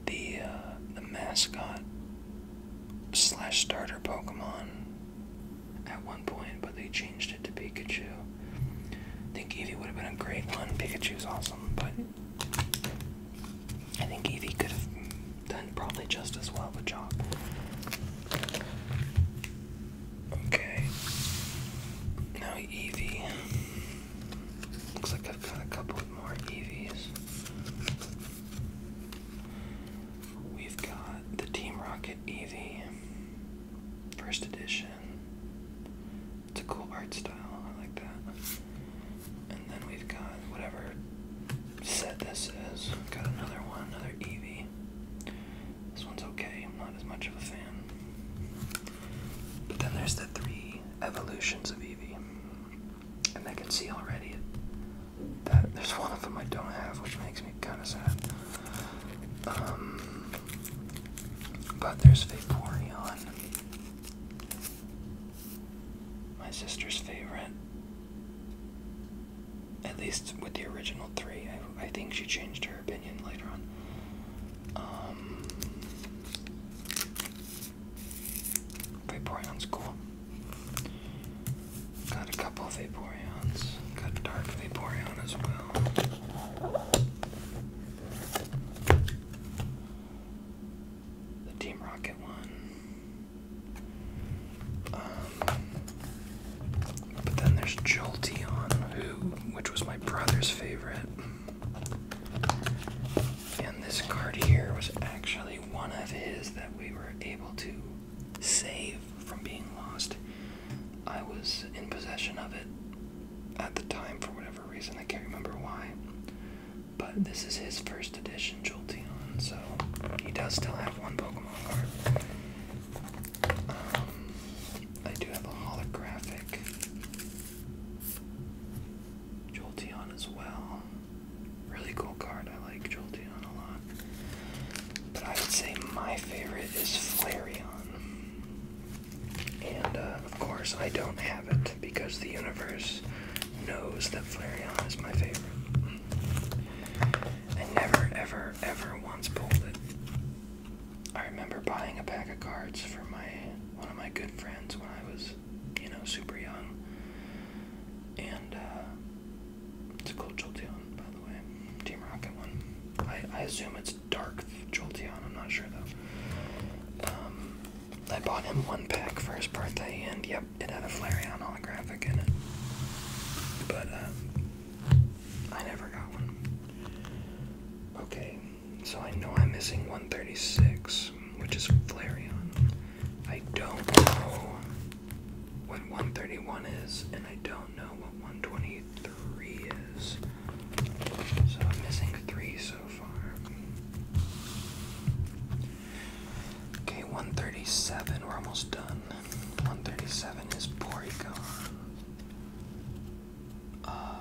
the uh, the mascot slash starter Pokemon at one point, but they changed it to Pikachu. I think Eevee would have been a great one. Pikachu's awesome, but I think Evie could have done probably just as well of a job. Okay. Now Evie. Looks like I've got a couple more Eevees. We've got the Team Rocket Eevee. First edition. It's a cool art style, I like that. And then we've got whatever set this is. got another one, another EV. This one's okay, I'm not as much of a fan. But then there's the three evolutions of EV, And I can see already that there's one of them I don't have, which makes me kind of sad. Um, but there's Vaporeon. My sister's favorite. At least with the original three. I, think she changed her opinion later on. Um, cool. Got a couple of Vaporeons. Got Dark Vaporeon as well the Team Rocket one. Um, but then there's Jolteon, who, which was my brother's favorite. And this card here was actually one of his that we were able to save from being lost. I was in possession of it at the time for whatever reason. I can't remember why. But this is his first edition Jolteon, so he does still have one Pokemon card. Um, I do have a holographic Jolteon as well. Really cool card. I like Jolteon a lot. But I would say my favorite is Flareon. And uh, of course, I don't have because the universe knows that Flareon is my favorite. I never, ever, ever once pulled it. I remember buying a pack of cards for my one of my good friends when I was, you know, super young. And uh, it's a cool Jolteon, by the way, Team Rocket one. I, assume it's dark Jolteon. I'm not sure though. Um, I bought him one pack for his birthday, and yep, it had a Flareon holographic in it. But, uh, I never got one. Okay, so I know I'm missing 136, which is Flareon. I don't know what 131 is, and I don't know what 123 is. So I'm missing three so far. Okay, 137. We're almost done. 137 is Porygon. Uh,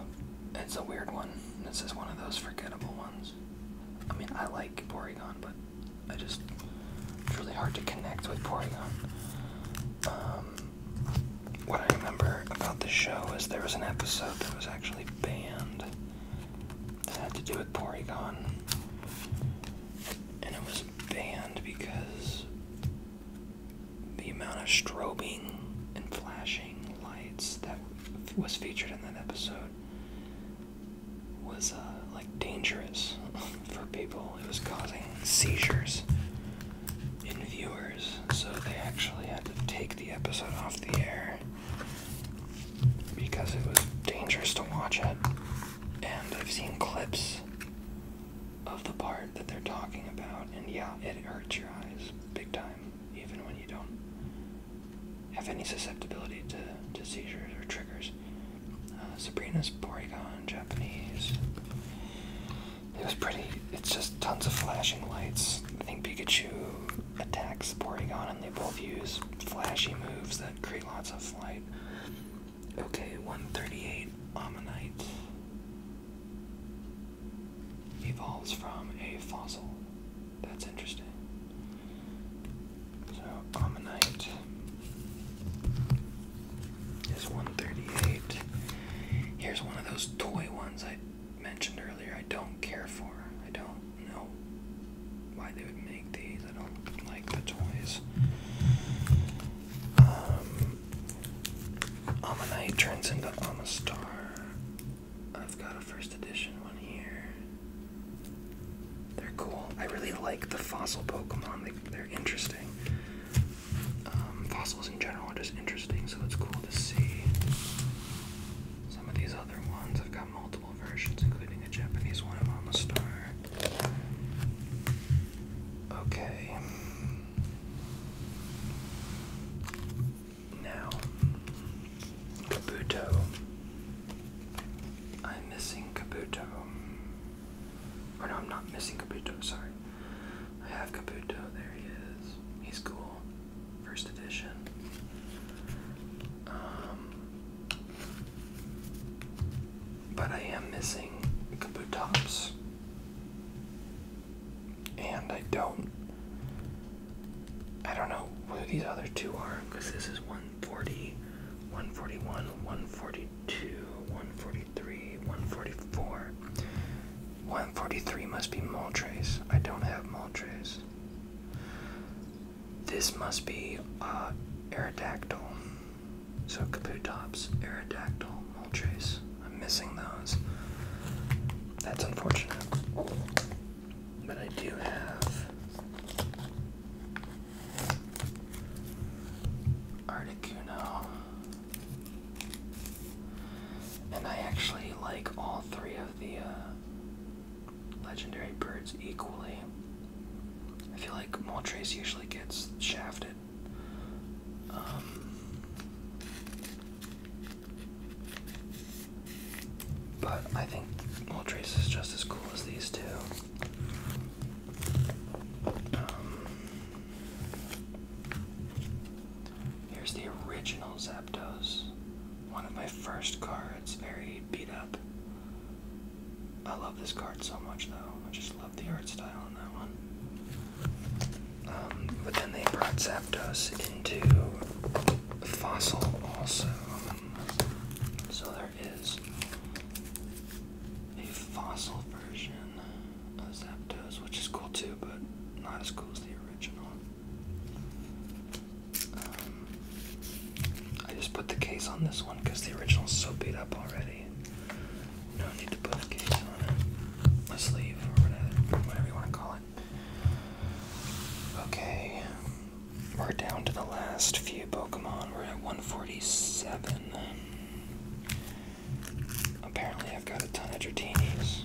it's a weird one. This is one of those forgettable ones. I mean, I like Porygon, but I just. It's really hard to connect with Porygon. Um, what I remember about the show is there was an episode that was actually banned that had to do with Porygon. And it was banned because the amount of strobing and flashing lights that was featured in that episode was uh, like dangerous for people. It was causing seizures in viewers, so they actually had to take the episode off the air because it was dangerous to watch it. And I've seen clips of the part that they're talking about, and yeah, it hurts your eyes big time, even when you don't have any susceptibility to, to seizures or triggers. Uh, Sabrina's Porygon, Japanese. It was pretty, it's just tons of flashing lights. I think Pikachu attacks Porygon, and they both use flashy moves that create lots of flight. Okay, 138 Ammonite evolves from a fossil. That's interesting. So, Ammonite is 138. Here's one of those toy ones I mentioned earlier I don't care for. I don't know why they would make these. I don't like the toys. Um, Ammonite turns into Amistar. I've got a first edition one here. They're cool. I really like the fossil Pokemon. They, are interesting. Um, fossils in general are just interesting, so it's cool to see some of these other ones. I've got multiple multiple versions, including a Japanese one of the Star. Okay. Now, Kabuto. I'm missing Kabuto. Or no, I'm not missing Kabuto, sorry. I have Kabuto, there he is. He's cool. First edition. Um, but I am missing Kaboo And I don't. I don't know where these other two are because this is 140, 141, 142, 143, 144. 143 must be Moltres. I don't have Moltres. This must be uh, Aerodactyl. So Caputops, Aerodactyl, Moltres. I'm missing those. That's unfortunate. But I do have Articuno. And I actually like all three of the uh, legendary birds equally. I feel like Moltres usually gets shafted. Um, but I think Moltres is just as cool as these two. Um, here's the original Zapdos. One of my first cards, very beat up. I love this card so much though. I just love the art style on that one. Um, but then they brought Zapdos into Fossil also. So there is a Fossil version of Zapdos, which is cool too, but not as cool as the original. Um, I just put the case on this one because the original's so beat up already. No need to put the case on it. A sleeve or whatever, whatever you want to call it. Okay. We're down to the last few Pokemon. We're at 147. Apparently, I've got a ton of Dratinis.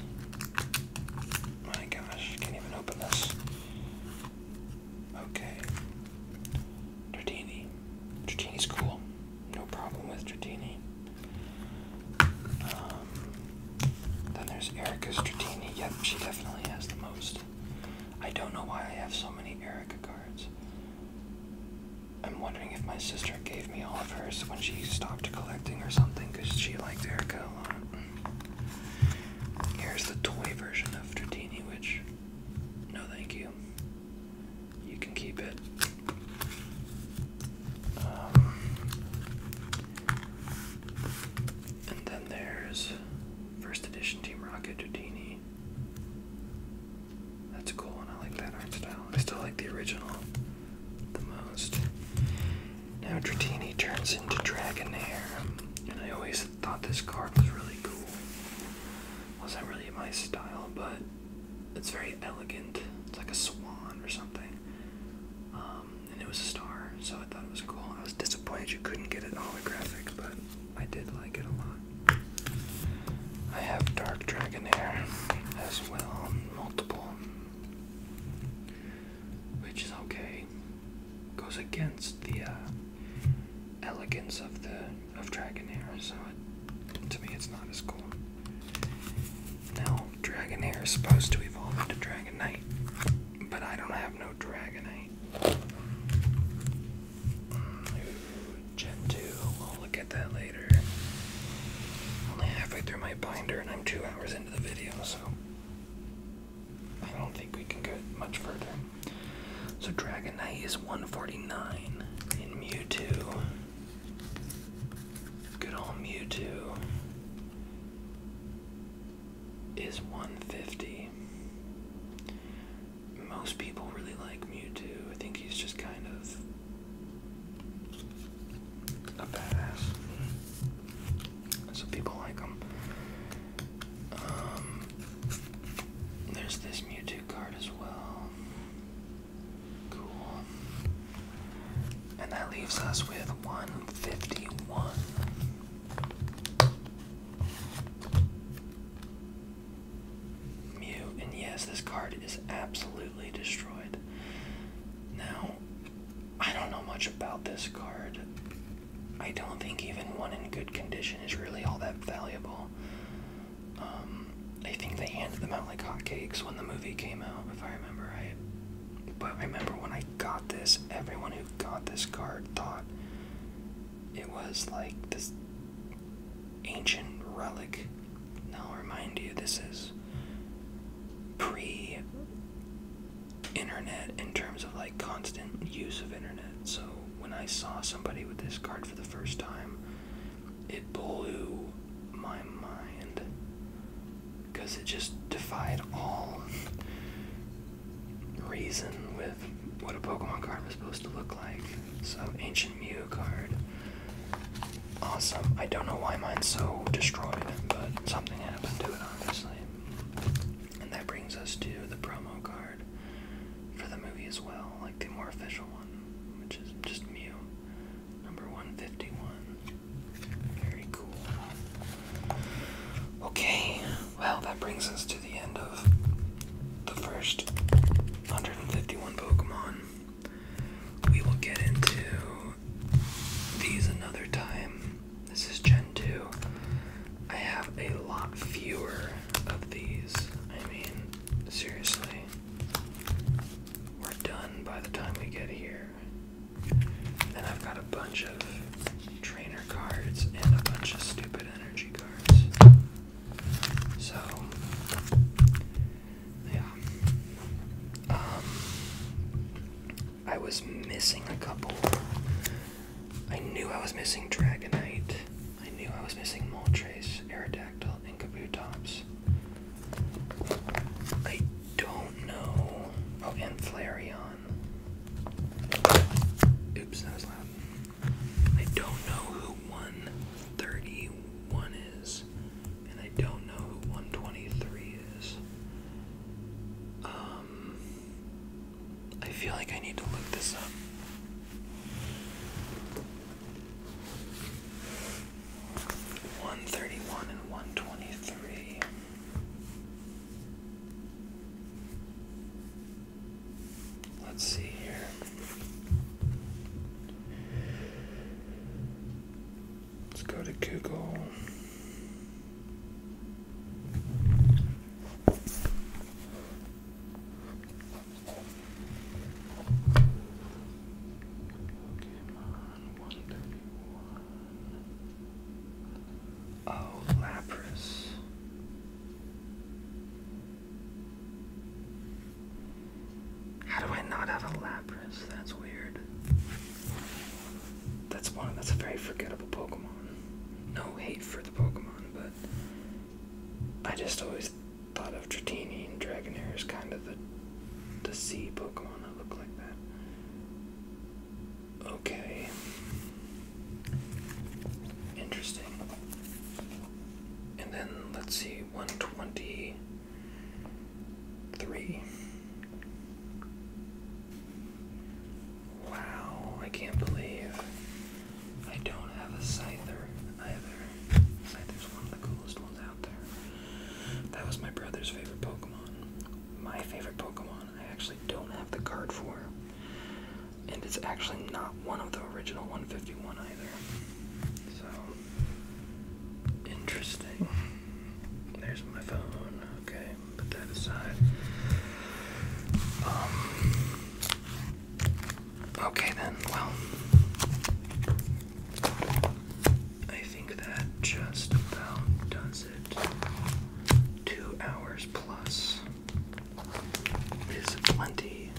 My gosh, can't even open this. Okay. Dratini. Dratini's cool. No problem with Dratini. Um, then there's Erica's Dratini. Yep, she definitely has the most. I don't know why I have so many Erica cards. I'm wondering if my sister gave me all of hers when she stopped collecting or something because she liked Erica a lot. Here's the toy version of Dratini, which no, thank you. You can keep it. Um, and then there's first edition Team Rocket Houdini. That's a cool one. I like that art style. I still like the original the most. Now Dratini turns into Dragonair, and I always thought this card was really cool. Wasn't really my style, but it's very elegant. It's like a swan or something. Um, and it was a star, so I thought it was cool. I was disappointed you couldn't get it holographic, but I did like it a lot. I have Dark Dragonair as well, multiple, which is okay. Goes against the uh, elegance of the of Dragonair, so it, to me it's not as cool. Now, Dragonair is supposed to evolve into Dragon Knight, but I don't have no Dragonite. Ooh, Gen 2, we'll look at that later. Only halfway through my binder, and I'm two hours into the video, so I don't think we can go much further. So Dragonite is 149 in Mewtwo. Good old Mewtwo is 150. Most people really like Mewtwo. I think he's just kind of a badass. Hmm. So people like him. Um, there's this Mewtwo card as well. Cool. And that leaves us with 151. Mew, and yes, this card is absolutely destroyed. Now, I don't know much about this card. I don't think even one in good condition is really all that valuable. Um, I think they handed them out like hotcakes when the movie came out, if I remember right. But I remember when I got this, everyone who got this card thought it was like this ancient relic. Now, remind you, this is pre internet in terms of like constant use of internet, so when I saw somebody with this card for the first time, it blew my mind because it just defied all reason with what a Pokemon card was supposed to look like. So, Ancient Mew card. Awesome. I don't know why mine's so destroyed, but something happened to it, obviously. And that brings us to the promo card for the movie as well, like the more official one, which is just Mew, number 151. Very cool. Okay, well, that brings us to the end of the first 151 Pokemon. We will get into these another time. This is Gen 2. I have a lot fewer of these. I mean, seriously. We're done by the time we get here. Then I've got a bunch of trainer cards and a bunch of stupid energy cards. So, yeah. Um, I was missing a couple. I knew I was missing Dragonite. I knew I was missing Moltres, Aerodactyl, and Kabutops. I don't know. Oh, and Flareon. Oops, that was loud. I don't know who 131 is, and I don't know who 123 is. Um, I feel like I need to look this up. One thirty one and one twenty three. Let's see here. Let's go to Google. Oh, Lapras. How do I not have a Lapras? That's weird. That's one. That's a very forgettable Pokemon. No hate for the Pokemon, but I just always thought of Dratini and Dragonair as kind of the the sea Pokemon that look like that. Okay. Interesting. And then let's see, 123. Wow, I can't believe I don't have a Cyther either. Scyther's one of the coolest ones out there. That was my brother's favorite Pokemon. My favorite Pokemon, I actually don't have the card for. And it's actually not one of the original 151 either. So, interesting. There's my phone. Okay, put that aside. Um, Okay then, well, I think that just about does it. Two hours plus is plenty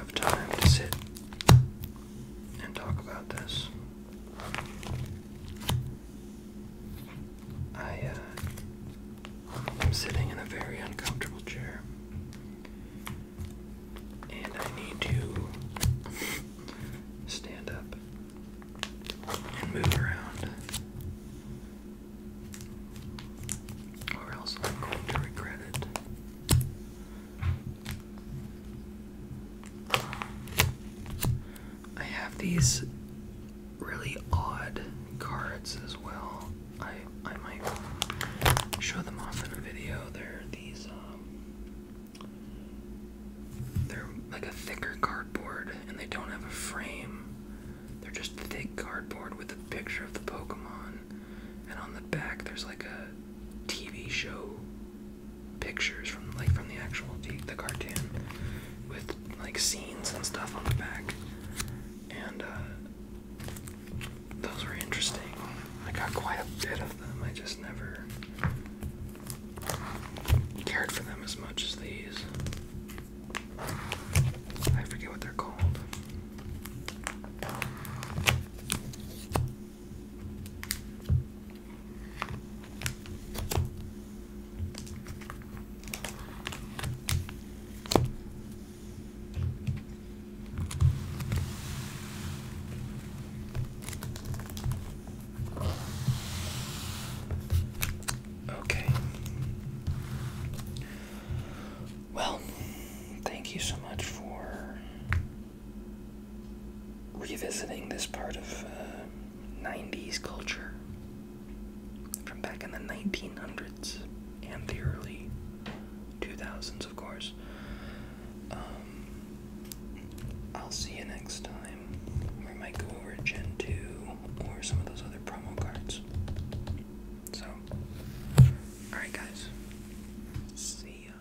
of time to sit and talk about this. I am uh, sitting in a very uncomfortable chair, and I need to stand up and move around, or else I'm going to regret it. I have these really odd cards as well. I I might show them off in a video. They're these um they're like a thicker cardboard and they don't have a frame. They're just thick cardboard with a picture of the Pokemon and on the back there's like a TV show pictures from like from the actual the cartoon with like scenes and stuff on the back. And uh those were interesting. I got quite a bit of them. I just never cared for them as much as these. I forget what they're called. Okay. Well, thank you so much for revisiting this part of 90s uh, culture from back in the 1900s and the early 2000s, of course. Um, I'll see you next time. We might go over Gen 2 or some of those other promo cards. So, alright, guys. See ya.